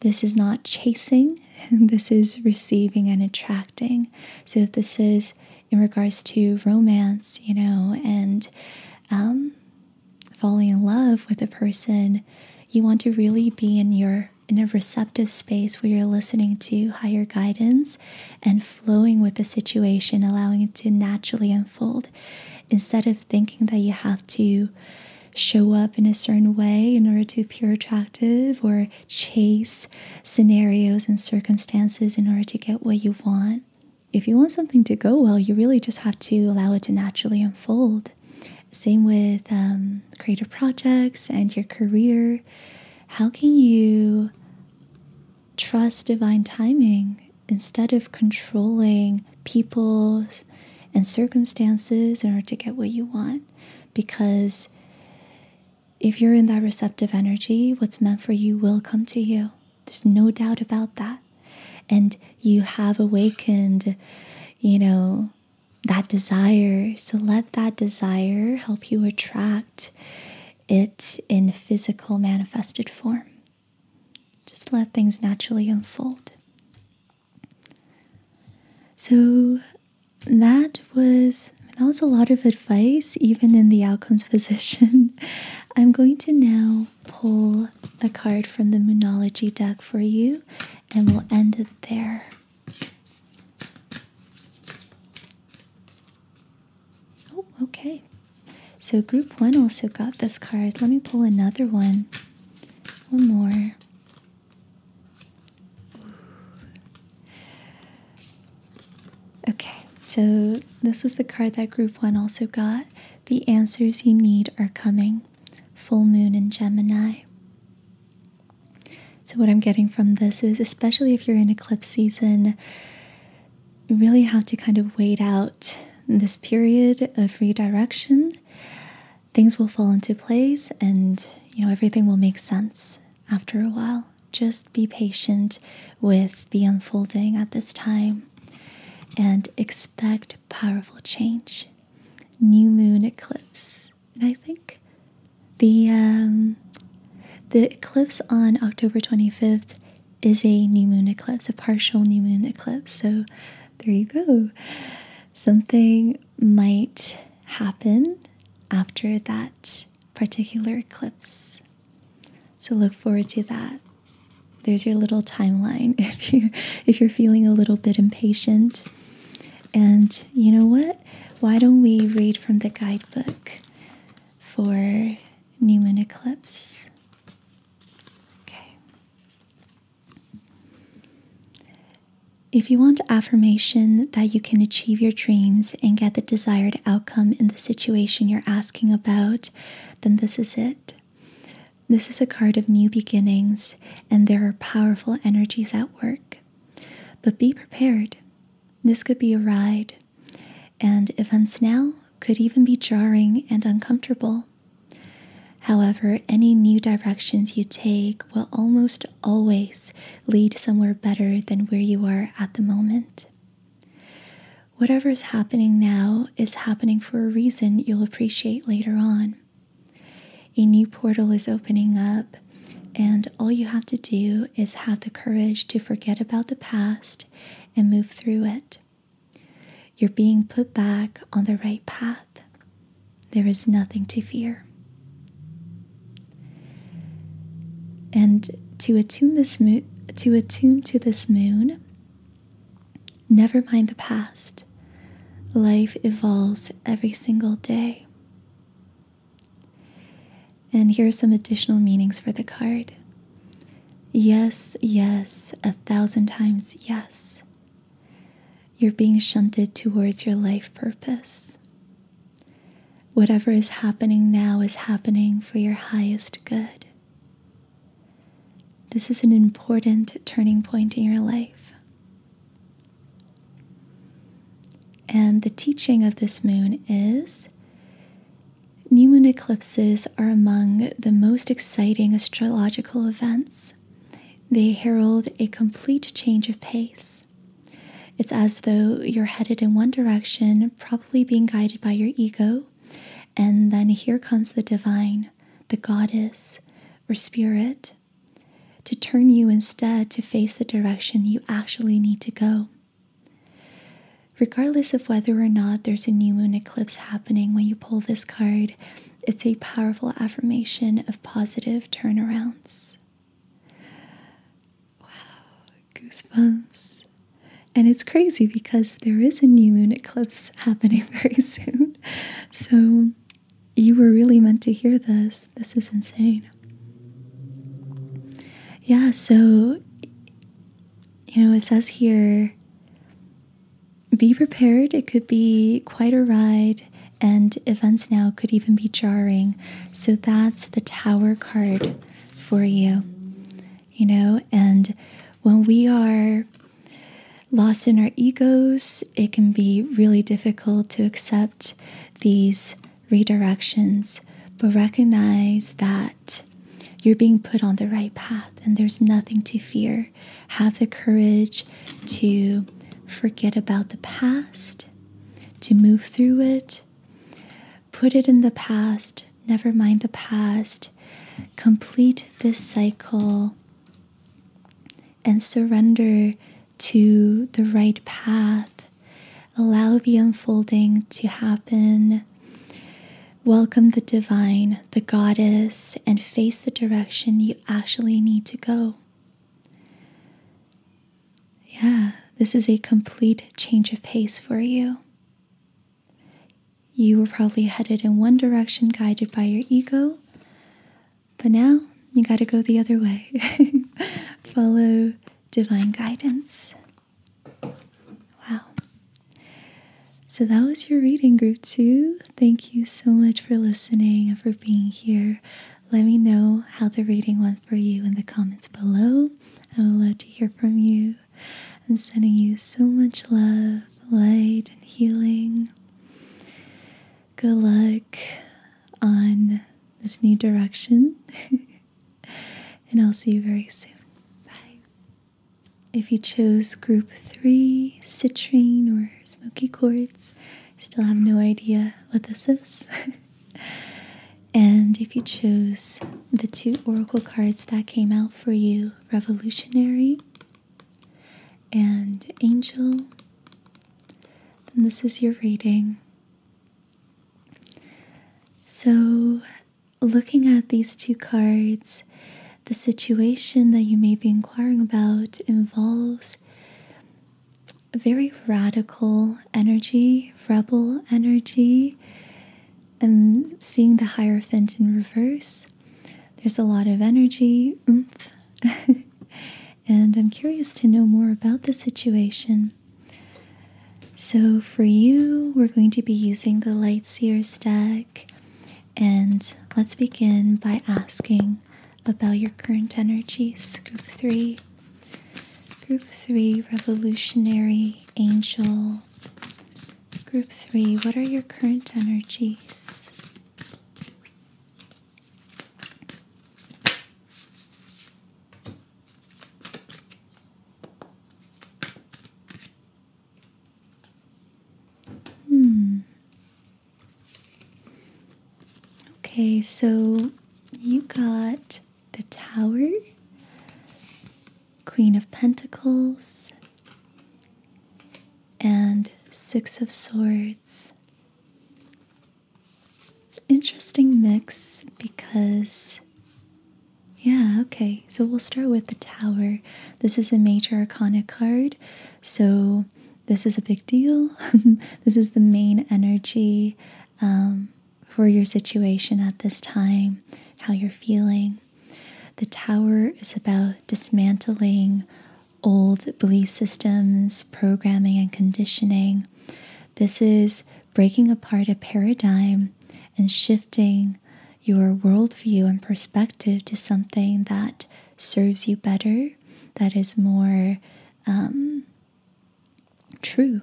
This is not chasing, this is receiving and attracting. So, this is in regards to romance, you know, and um, falling in love with a person, you want to really be in your in a receptive space where you're listening to higher guidance and flowing with the situation, allowing it to naturally unfold instead of thinking that you have to show up in a certain way in order to appear attractive or chase scenarios and circumstances in order to get what you want. If you want something to go well, you really just have to allow it to naturally unfold. Same with um, creative projects and your career. How can you trust divine timing instead of controlling people and circumstances in order to get what you want. Because if you're in that receptive energy, what's meant for you will come to you. There's no doubt about that. And you have awakened, you know, that desire. So let that desire help you attract it in physical manifested form. Just let things naturally unfold. So that was that was a lot of advice even in the outcomes position. I'm going to now pull a card from the Moonology deck for you and we'll end it there. Oh, okay. So group one also got this card. Let me pull another one. One more. Okay, so this is the card that group one also got. The answers you need are coming. Full moon in Gemini. So, what I'm getting from this is, especially if you're in eclipse season, you really have to kind of wait out this period of redirection. Things will fall into place and you know everything will make sense after a while. Just be patient with the unfolding at this time and expect powerful change. New moon eclipse. And I think the um, the eclipse on October 25th is a new moon eclipse, a partial new moon eclipse. So there you go. Something might happen after that particular eclipse. So look forward to that. There's your little timeline if you are if you're feeling a little bit impatient. And you know what? Why don't we read from the guidebook for Newman Eclipse. Okay. If you want affirmation that you can achieve your dreams and get the desired outcome in the situation you're asking about, then this is it. This is a card of new beginnings, and there are powerful energies at work. But be prepared. This could be a ride, and events now could even be jarring and uncomfortable. However, any new directions you take will almost always lead somewhere better than where you are at the moment. Whatever is happening now is happening for a reason you'll appreciate later on. A new portal is opening up, and all you have to do is have the courage to forget about the past and move through it. You're being put back on the right path. There is nothing to fear. And to attune this mo- to attune to this moon, never mind the past. Life evolves every single day. And here are some additional meanings for the card Yes, yes, a thousand times yes. You're being shunted towards your life purpose. Whatever is happening now is happening for your highest good. This is an important turning point in your life. And the teaching of this moon is New moon eclipses are among the most exciting astrological events. They herald a complete change of pace. It's as though you're headed in one direction, probably being guided by your ego, and then here comes the divine, the goddess, or spirit to turn you instead to face the direction you actually need to go. Regardless of whether or not there's a new moon eclipse happening when you pull this card, it's a powerful affirmation of positive turnarounds. Wow, goosebumps. And it's crazy because there is a new moon eclipse happening very soon. So you were really meant to hear this. This is insane. Yeah, so you know, it says here be prepared. It could be quite a ride, and events now could even be jarring. So that's the tower card for you, you know, and when we are lost in our egos, it can be really difficult to accept these redirections, but recognize that you're being put on the right path and there's nothing to fear. Have the courage to forget about the past, to move through it, put it in the past, never mind the past, complete this cycle, and surrender to the right path Allow the unfolding to happen. Welcome the divine, the goddess, and face the direction you actually need to go. Yeah, this is a complete change of pace for you. You were probably headed in one direction, guided by your ego, but now you got to go the other way. Follow divine guidance. Wow. So that was your reading, group two. Thank you so much for listening and for being here. Let me know how the reading went for you in the comments below. I would love to hear from you. I'm sending you so much love, light, and healing. Good luck on this new direction. and I'll see you very soon. If you chose group three, citrine or smoky quartz, still have no idea what this is. and if you chose the two oracle cards that came out for you, revolutionary and angel, then this is your reading. So looking at these two cards, the situation that you may be inquiring about involves very radical energy, rebel energy, and seeing the Hierophant in reverse. There's a lot of energy, oomph. and I'm curious to know more about the situation. So for you, we're going to be using the Lightseer stack. And let's begin by asking about your current energies. Group 3. Group 3, Revolutionary Angel. Group 3, what are your current energies? Hmm. Okay, so you got the Tower, Queen of Pentacles, and Six of Swords. It's an interesting mix because yeah, okay. So we'll start with the tower. This is a major arcana card. So this is a big deal. this is the main energy um, for your situation at this time, how you're feeling. The tower is about dismantling old belief systems, programming, and conditioning. This is breaking apart a paradigm and shifting your worldview and perspective to something that serves you better, that is more um, true.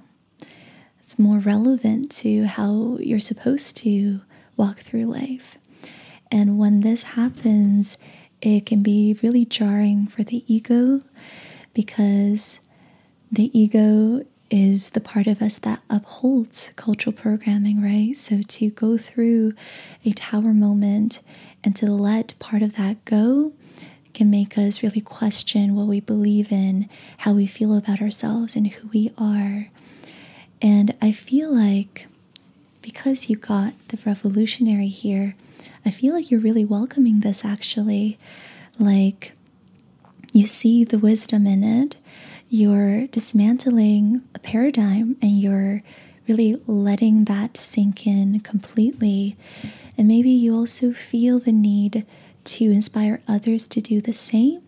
It's more relevant to how you're supposed to walk through life. And when this happens, it can be really jarring for the ego because the ego is the part of us that upholds cultural programming, right? So to go through a tower moment and to let part of that go can make us really question what we believe in, how we feel about ourselves, and who we are. And I feel like because you got the revolutionary here, I feel like you're really welcoming this actually. Like, you see the wisdom in it, you're dismantling a paradigm and you're really letting that sink in completely. And maybe you also feel the need to inspire others to do the same,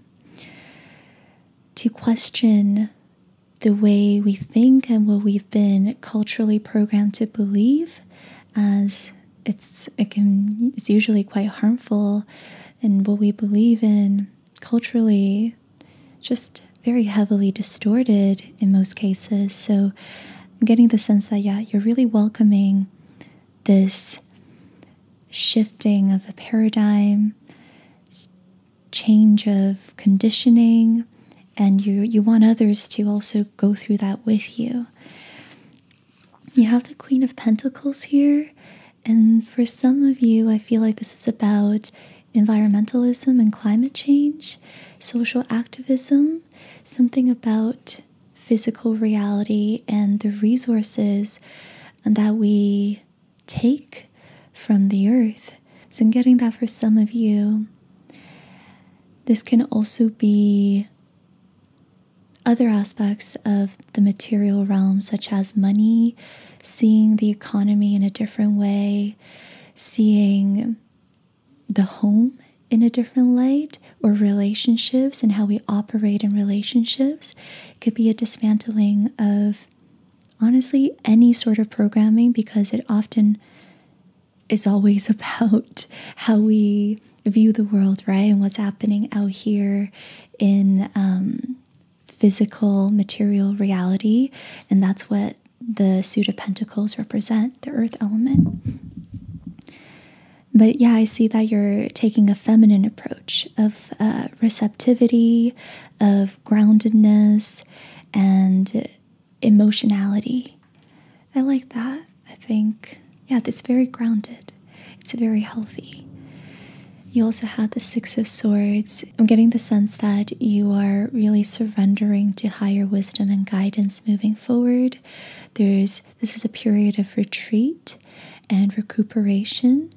to question the way we think and what we've been culturally programmed to believe as it's it can it's usually quite harmful and what we believe in culturally just very heavily distorted in most cases. So I'm getting the sense that, yeah, you're really welcoming this shifting of a paradigm, change of conditioning, and you, you want others to also go through that with you. You have the Queen of Pentacles here, and for some of you, I feel like this is about environmentalism and climate change, social activism, something about physical reality and the resources that we take from the earth. So I'm getting that for some of you. This can also be other aspects of the material realm, such as money, seeing the economy in a different way, seeing the home in a different light, or relationships and how we operate in relationships. could be a dismantling of honestly any sort of programming because it often is always about how we view the world, right? And what's happening out here in um, physical, material reality, and that's what the suit of pentacles represent the earth element. But yeah, I see that you're taking a feminine approach of uh, receptivity, of groundedness, and emotionality. I like that. I think, yeah, it's very grounded. It's very healthy. You also have the Six of Swords. I'm getting the sense that you are really surrendering to higher wisdom and guidance moving forward. There's this is a period of retreat and recuperation.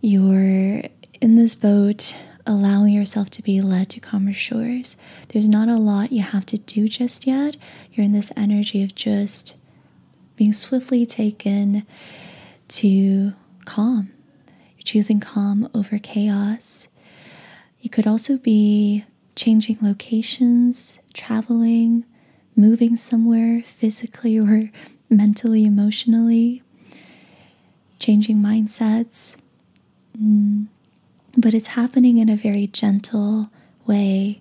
You're in this boat allowing yourself to be led to calmer shores. There's not a lot you have to do just yet. You're in this energy of just being swiftly taken to calm. You're choosing calm over chaos. You could also be changing locations, traveling, moving somewhere physically or mentally, emotionally, changing mindsets. Mm. But it's happening in a very gentle way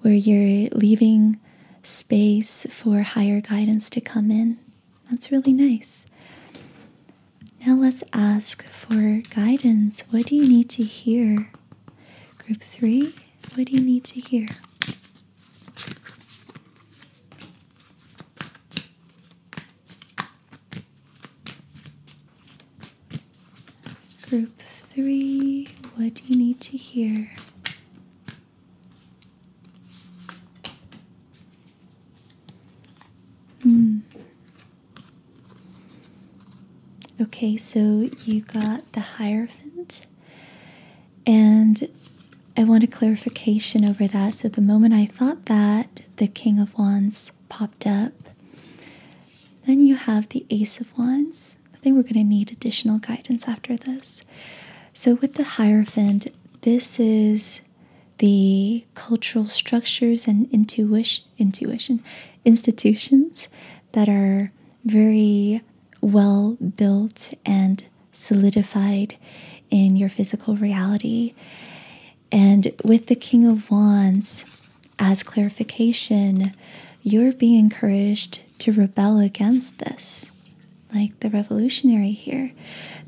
where you're leaving space for higher guidance to come in. That's really nice. Now let's ask for guidance. What do you need to hear? Group three, what do you need to hear? Group three, what do you need to hear? Hmm. Okay, so you got the Hierophant, and I want a clarification over that. So, the moment I thought that, the King of Wands popped up. Then you have the Ace of Wands, I think we're going to need additional guidance after this. So, with the Hierophant, this is the cultural structures and intuition, institutions that are very well built and solidified in your physical reality. And with the King of Wands, as clarification, you're being encouraged to rebel against this like the revolutionary here.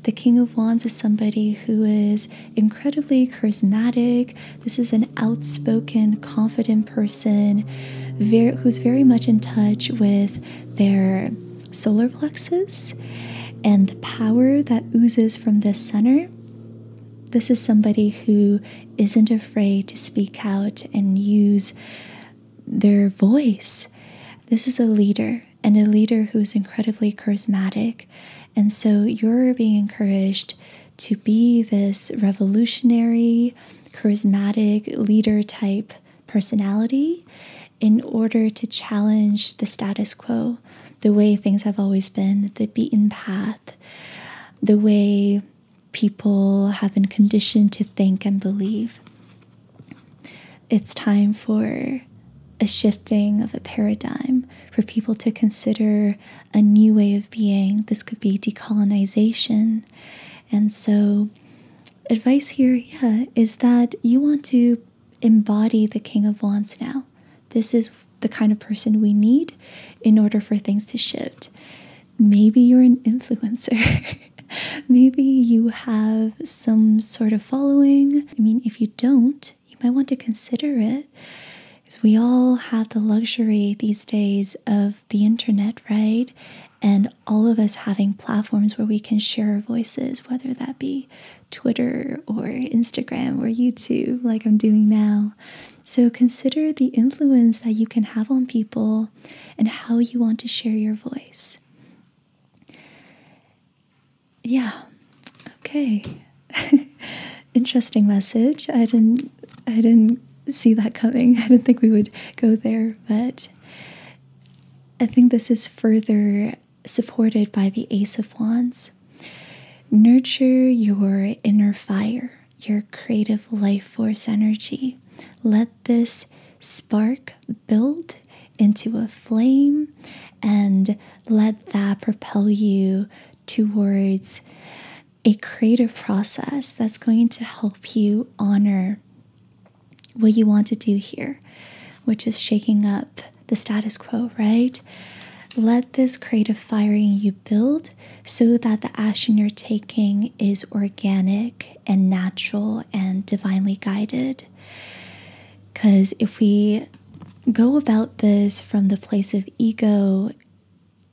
The King of Wands is somebody who is incredibly charismatic. This is an outspoken, confident person who's very much in touch with their solar plexus and the power that oozes from this center. This is somebody who isn't afraid to speak out and use their voice. This is a leader and a leader who's incredibly charismatic. And so you're being encouraged to be this revolutionary, charismatic leader type personality in order to challenge the status quo, the way things have always been, the beaten path, the way people have been conditioned to think and believe. It's time for a shifting of a paradigm for people to consider a new way of being. This could be decolonization. And so, advice here, yeah, is that you want to embody the King of Wands now. This is the kind of person we need in order for things to shift. Maybe you're an influencer. Maybe you have some sort of following. I mean, if you don't, you might want to consider it. Because we all have the luxury these days of the internet, right? And all of us having platforms where we can share our voices, whether that be Twitter or Instagram or YouTube, like I'm doing now. So consider the influence that you can have on people and how you want to share your voice. Yeah. Okay. Interesting message. I didn't I didn't see that coming. I didn't think we would go there, but I think this is further supported by the Ace of Wands. Nurture your inner fire, your creative life force energy. Let this spark build into a flame and let that propel you towards a creative process that's going to help you honor what you want to do here, which is shaking up the status quo, right? Let this creative firing you build so that the action you're taking is organic and natural and divinely guided. Because if we go about this from the place of ego,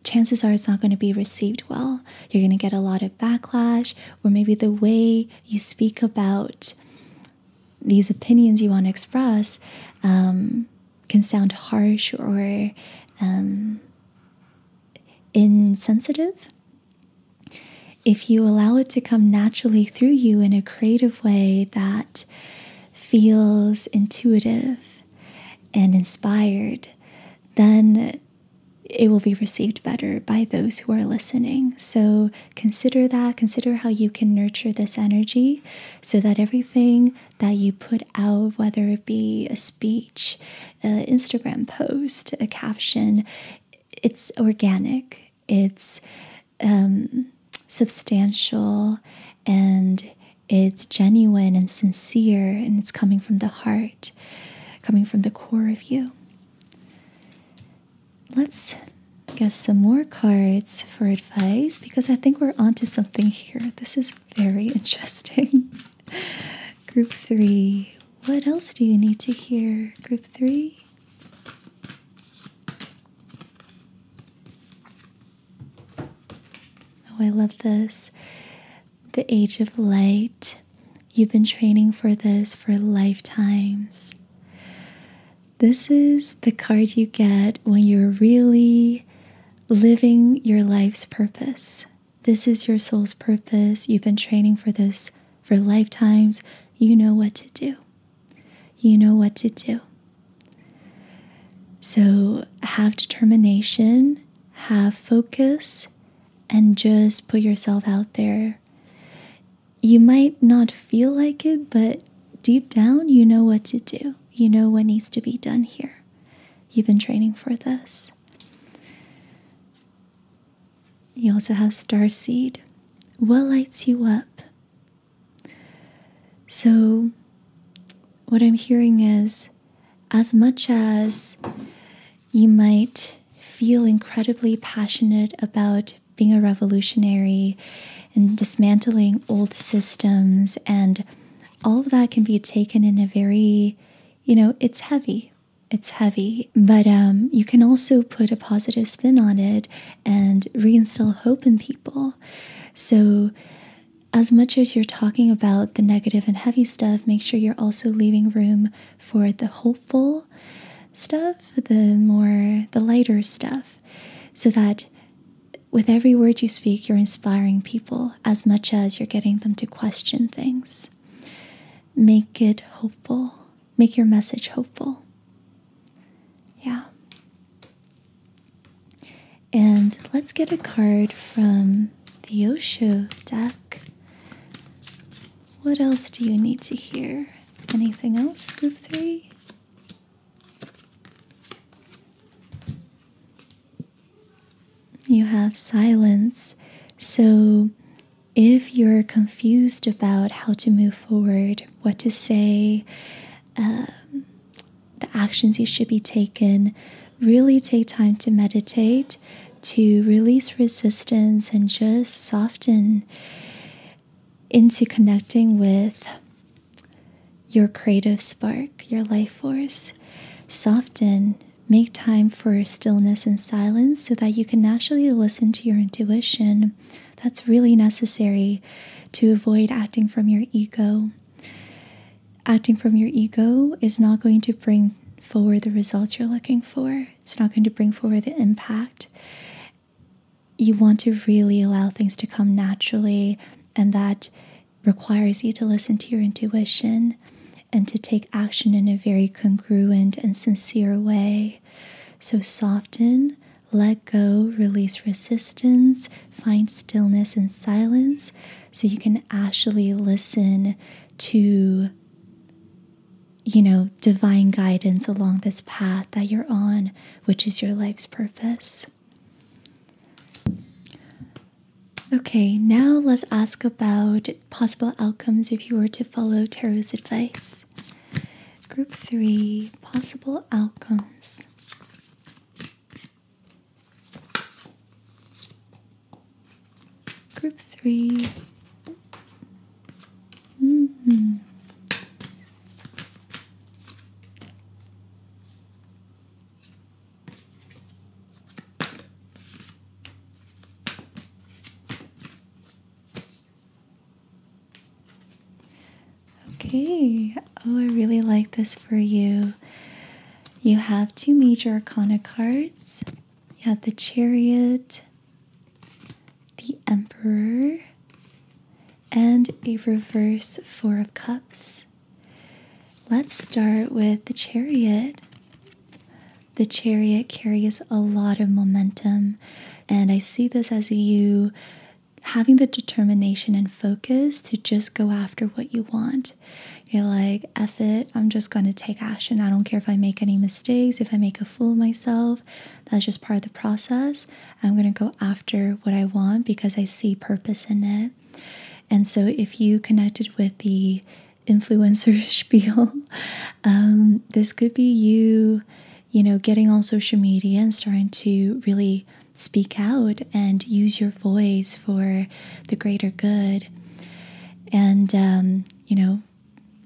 chances are it's not going to be received well. You're going to get a lot of backlash, or maybe the way you speak about these opinions you want to express um, can sound harsh or um, insensitive. If you allow it to come naturally through you in a creative way that feels intuitive and inspired, then it will be received better by those who are listening. So consider that. Consider how you can nurture this energy so that everything that you put out, whether it be a speech, an Instagram post, a caption, it's organic, it's um, substantial, and it's genuine and sincere, and it's coming from the heart, coming from the core of you. Let's get some more cards for advice because I think we're onto something here. This is very interesting. Group three what else do you need to hear? Group three? Oh, I love this. The Age of Light. You've been training for this for lifetimes. This is the card you get when you're really living your life's purpose. This is your soul's purpose. You've been training for this for lifetimes. You know what to do. You know what to do. So have determination, have focus, and just put yourself out there. You might not feel like it, but deep down, you know what to do. You know what needs to be done here. You've been training for this. You also have star seed. What lights you up? So, what I'm hearing is as much as you might feel incredibly passionate about being a revolutionary and dismantling old systems and all of that can be taken in a very you know it's heavy it's heavy, but um, you can also put a positive spin on it and reinstill hope in people. So, as much as you're talking about the negative and heavy stuff, make sure you're also leaving room for the hopeful stuff, the more, the lighter stuff, so that with every word you speak, you're inspiring people as much as you're getting them to question things. Make it hopeful make your message hopeful. Yeah. And let's get a card from the Osho deck. What else do you need to hear? Anything else, group three? You have silence. So if you're confused about how to move forward, what to say, um, the actions you should be taking, really take time to meditate, to release resistance, and just soften into connecting with your creative spark, your life force. Soften, make time for stillness and silence so that you can naturally listen to your intuition. That's really necessary to avoid acting from your ego. Acting from your ego is not going to bring forward the results you're looking for, it's not going to bring forward the impact. You want to really allow things to come naturally, and that requires you to listen to your intuition and to take action in a very congruent and sincere way. So soften, let go, release resistance, find stillness and silence so you can actually listen to you know divine guidance along this path that you're on which is your life's purpose okay now let's ask about possible outcomes if you were to follow tarot's advice. Group three possible outcomes. Group three. -hmm. Okay. Oh, I really like this for you. You have two major arcana cards. You have the chariot, the emperor, and a reverse four of cups. Let's start with the chariot. The chariot carries a lot of momentum, and I see this as you having the determination and focus to just go after what you want. You're like, F it, I'm just gonna take action. I don't care if I make any mistakes, if I make a fool of myself. That's just part of the process. I'm gonna go after what I want because I see purpose in it. And so, if you connected with the influencer spiel. Um, this could be you, you know, getting on social media and starting to really speak out and use your voice for the greater good. And, um, you know,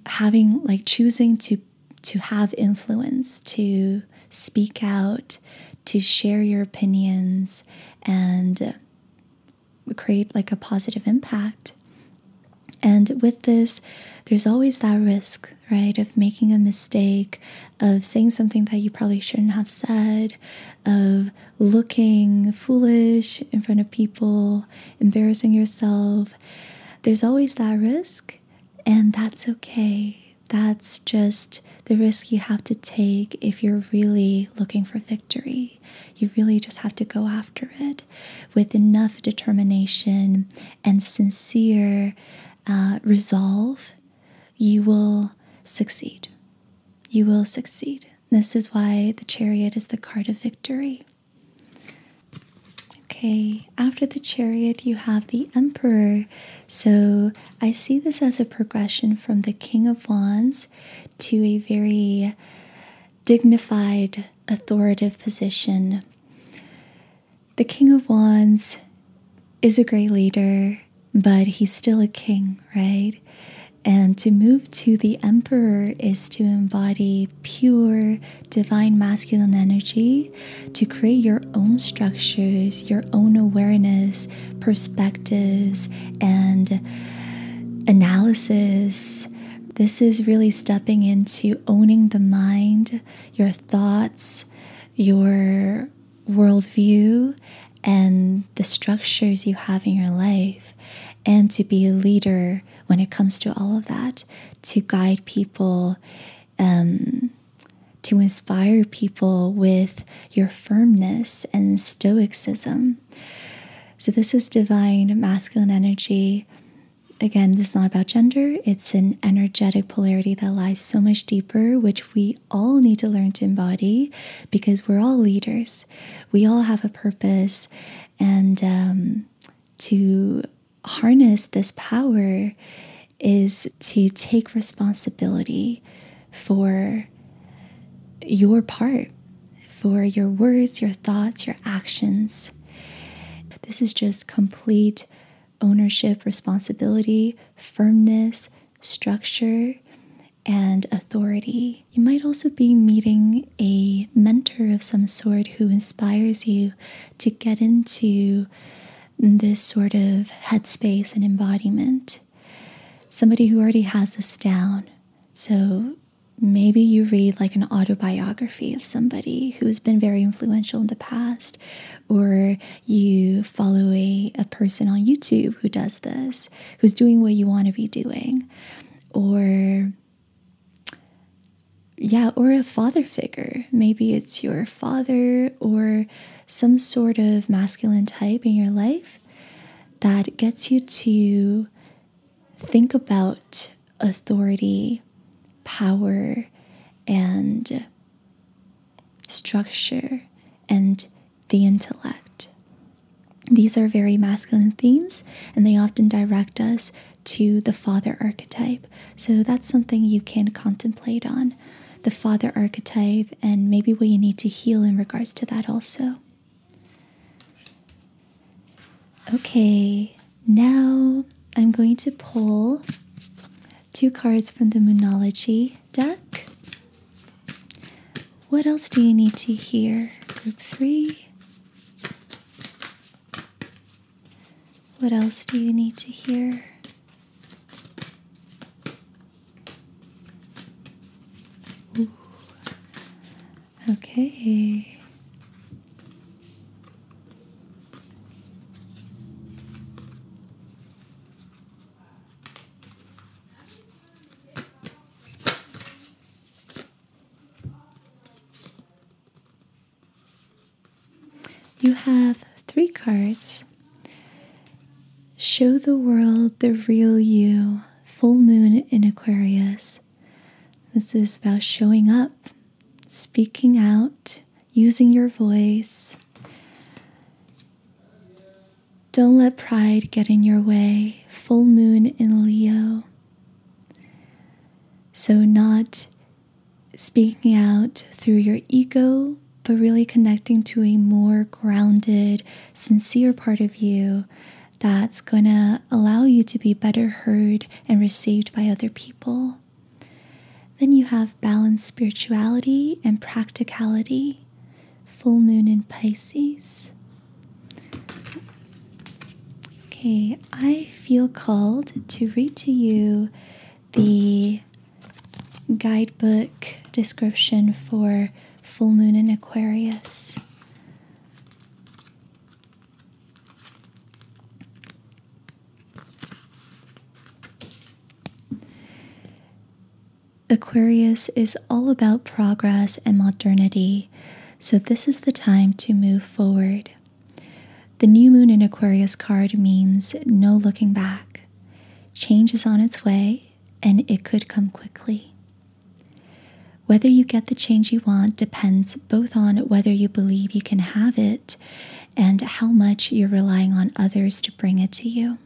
having like choosing to to have influence to speak out to share your opinions and create like a positive impact and with this, there's always that risk, right, of making a mistake, of saying something that you probably shouldn't have said, of looking foolish in front of people, embarrassing yourself. There's always that risk, and that's okay. That's just the risk you have to take if you're really looking for victory. You really just have to go after it with enough determination and sincere uh, resolve, you will succeed. You will succeed. This is why the chariot is the card of victory. Okay, after the chariot, you have the emperor. So I see this as a progression from the king of wands to a very dignified, authoritative position. The King of Wands is a great leader, but he's still a king, right? And to move to the emperor is to embody pure divine masculine energy, to create your own structures, your own awareness, perspectives, and analysis. This is really stepping into owning the mind, your thoughts, your worldview, and the structures you have in your life, and to be a leader when it comes to all of that, to guide people, um, to inspire people with your firmness and stoicism. So, this is divine masculine energy. Again, this is not about gender, it's an energetic polarity that lies so much deeper, which we all need to learn to embody because we're all leaders. We all have a purpose, and um, to harness this power is to take responsibility for your part, for your words, your thoughts, your actions, this is just complete ownership, responsibility, firmness, structure, and authority. You might also be meeting a mentor of some sort who inspires you to get into this sort of headspace and embodiment. Somebody who already has this down. So, Maybe you read like an autobiography of somebody who's been very influential in the past, or you follow a, a person on YouTube who does this, who's doing what you want to be doing, or yeah, or a father figure. Maybe it's your father or some sort of masculine type in your life that gets you to think about authority, power, and structure and the intellect. These are very masculine themes, and they often direct us to the father archetype. So that's something you can contemplate on the father archetype and maybe what you need to heal in regards to that also. Okay, now I'm going to pull two cards from the Moonology deck. What else do you need to hear? Group three. What else do you need to hear? Okay. You have three cards. Show the world the real you, full moon in Aquarius. This is about showing up speaking out, using your voice. Don't let pride get in your way. Full moon in Leo. So, not speaking out through your ego, but really connecting to a more grounded, sincere part of you that's going to allow you to be better heard and received by other people. Then you have balanced spirituality and practicality, full moon in Pisces. Okay, I feel called to read to you the guidebook description for full moon in Aquarius. Aquarius is all about progress and modernity, so this is the time to move forward. The new moon in Aquarius card means no looking back. Change is on its way, and it could come quickly. Whether you get the change you want depends both on whether you believe you can have it and how much you're relying on others to bring it to you.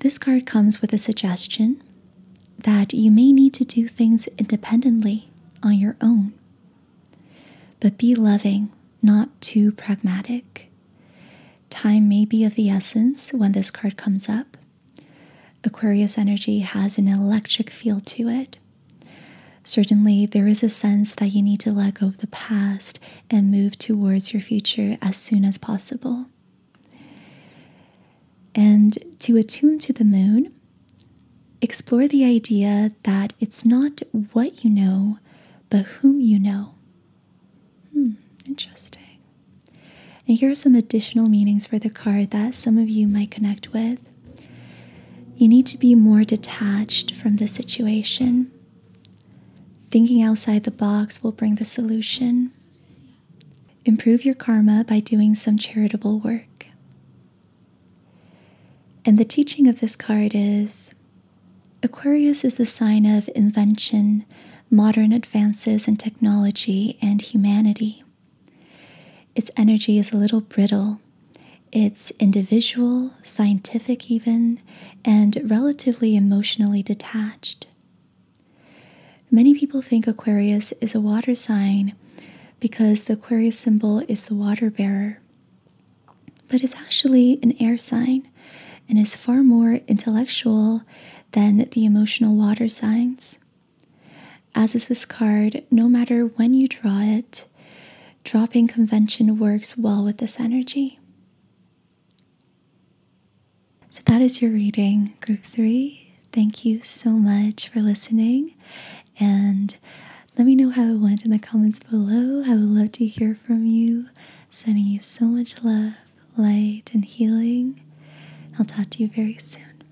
This card comes with a suggestion that you may need to do things independently on your own. But be loving, not too pragmatic. Time may be of the essence when this card comes up. Aquarius energy has an electric feel to it. Certainly, there is a sense that you need to let go of the past and move towards your future as soon as possible. And to attune to the moon, explore the idea that it's not what you know, but whom you know. Hmm, interesting. And here are some additional meanings for the card that some of you might connect with. You need to be more detached from the situation. Thinking outside the box will bring the solution. Improve your karma by doing some charitable work. And the teaching of this card is Aquarius is the sign of invention, modern advances in technology, and humanity. Its energy is a little brittle. It's individual, scientific, even, and relatively emotionally detached. Many people think Aquarius is a water sign because the Aquarius symbol is the water bearer, but it's actually an air sign and is far more intellectual than the emotional water signs. As is this card, no matter when you draw it, dropping convention works well with this energy. So that is your reading, group three. Thank you so much for listening. And let me know how it went in the comments below. I would love to hear from you. Sending you so much love, light, and healing. I'll talk to you very soon.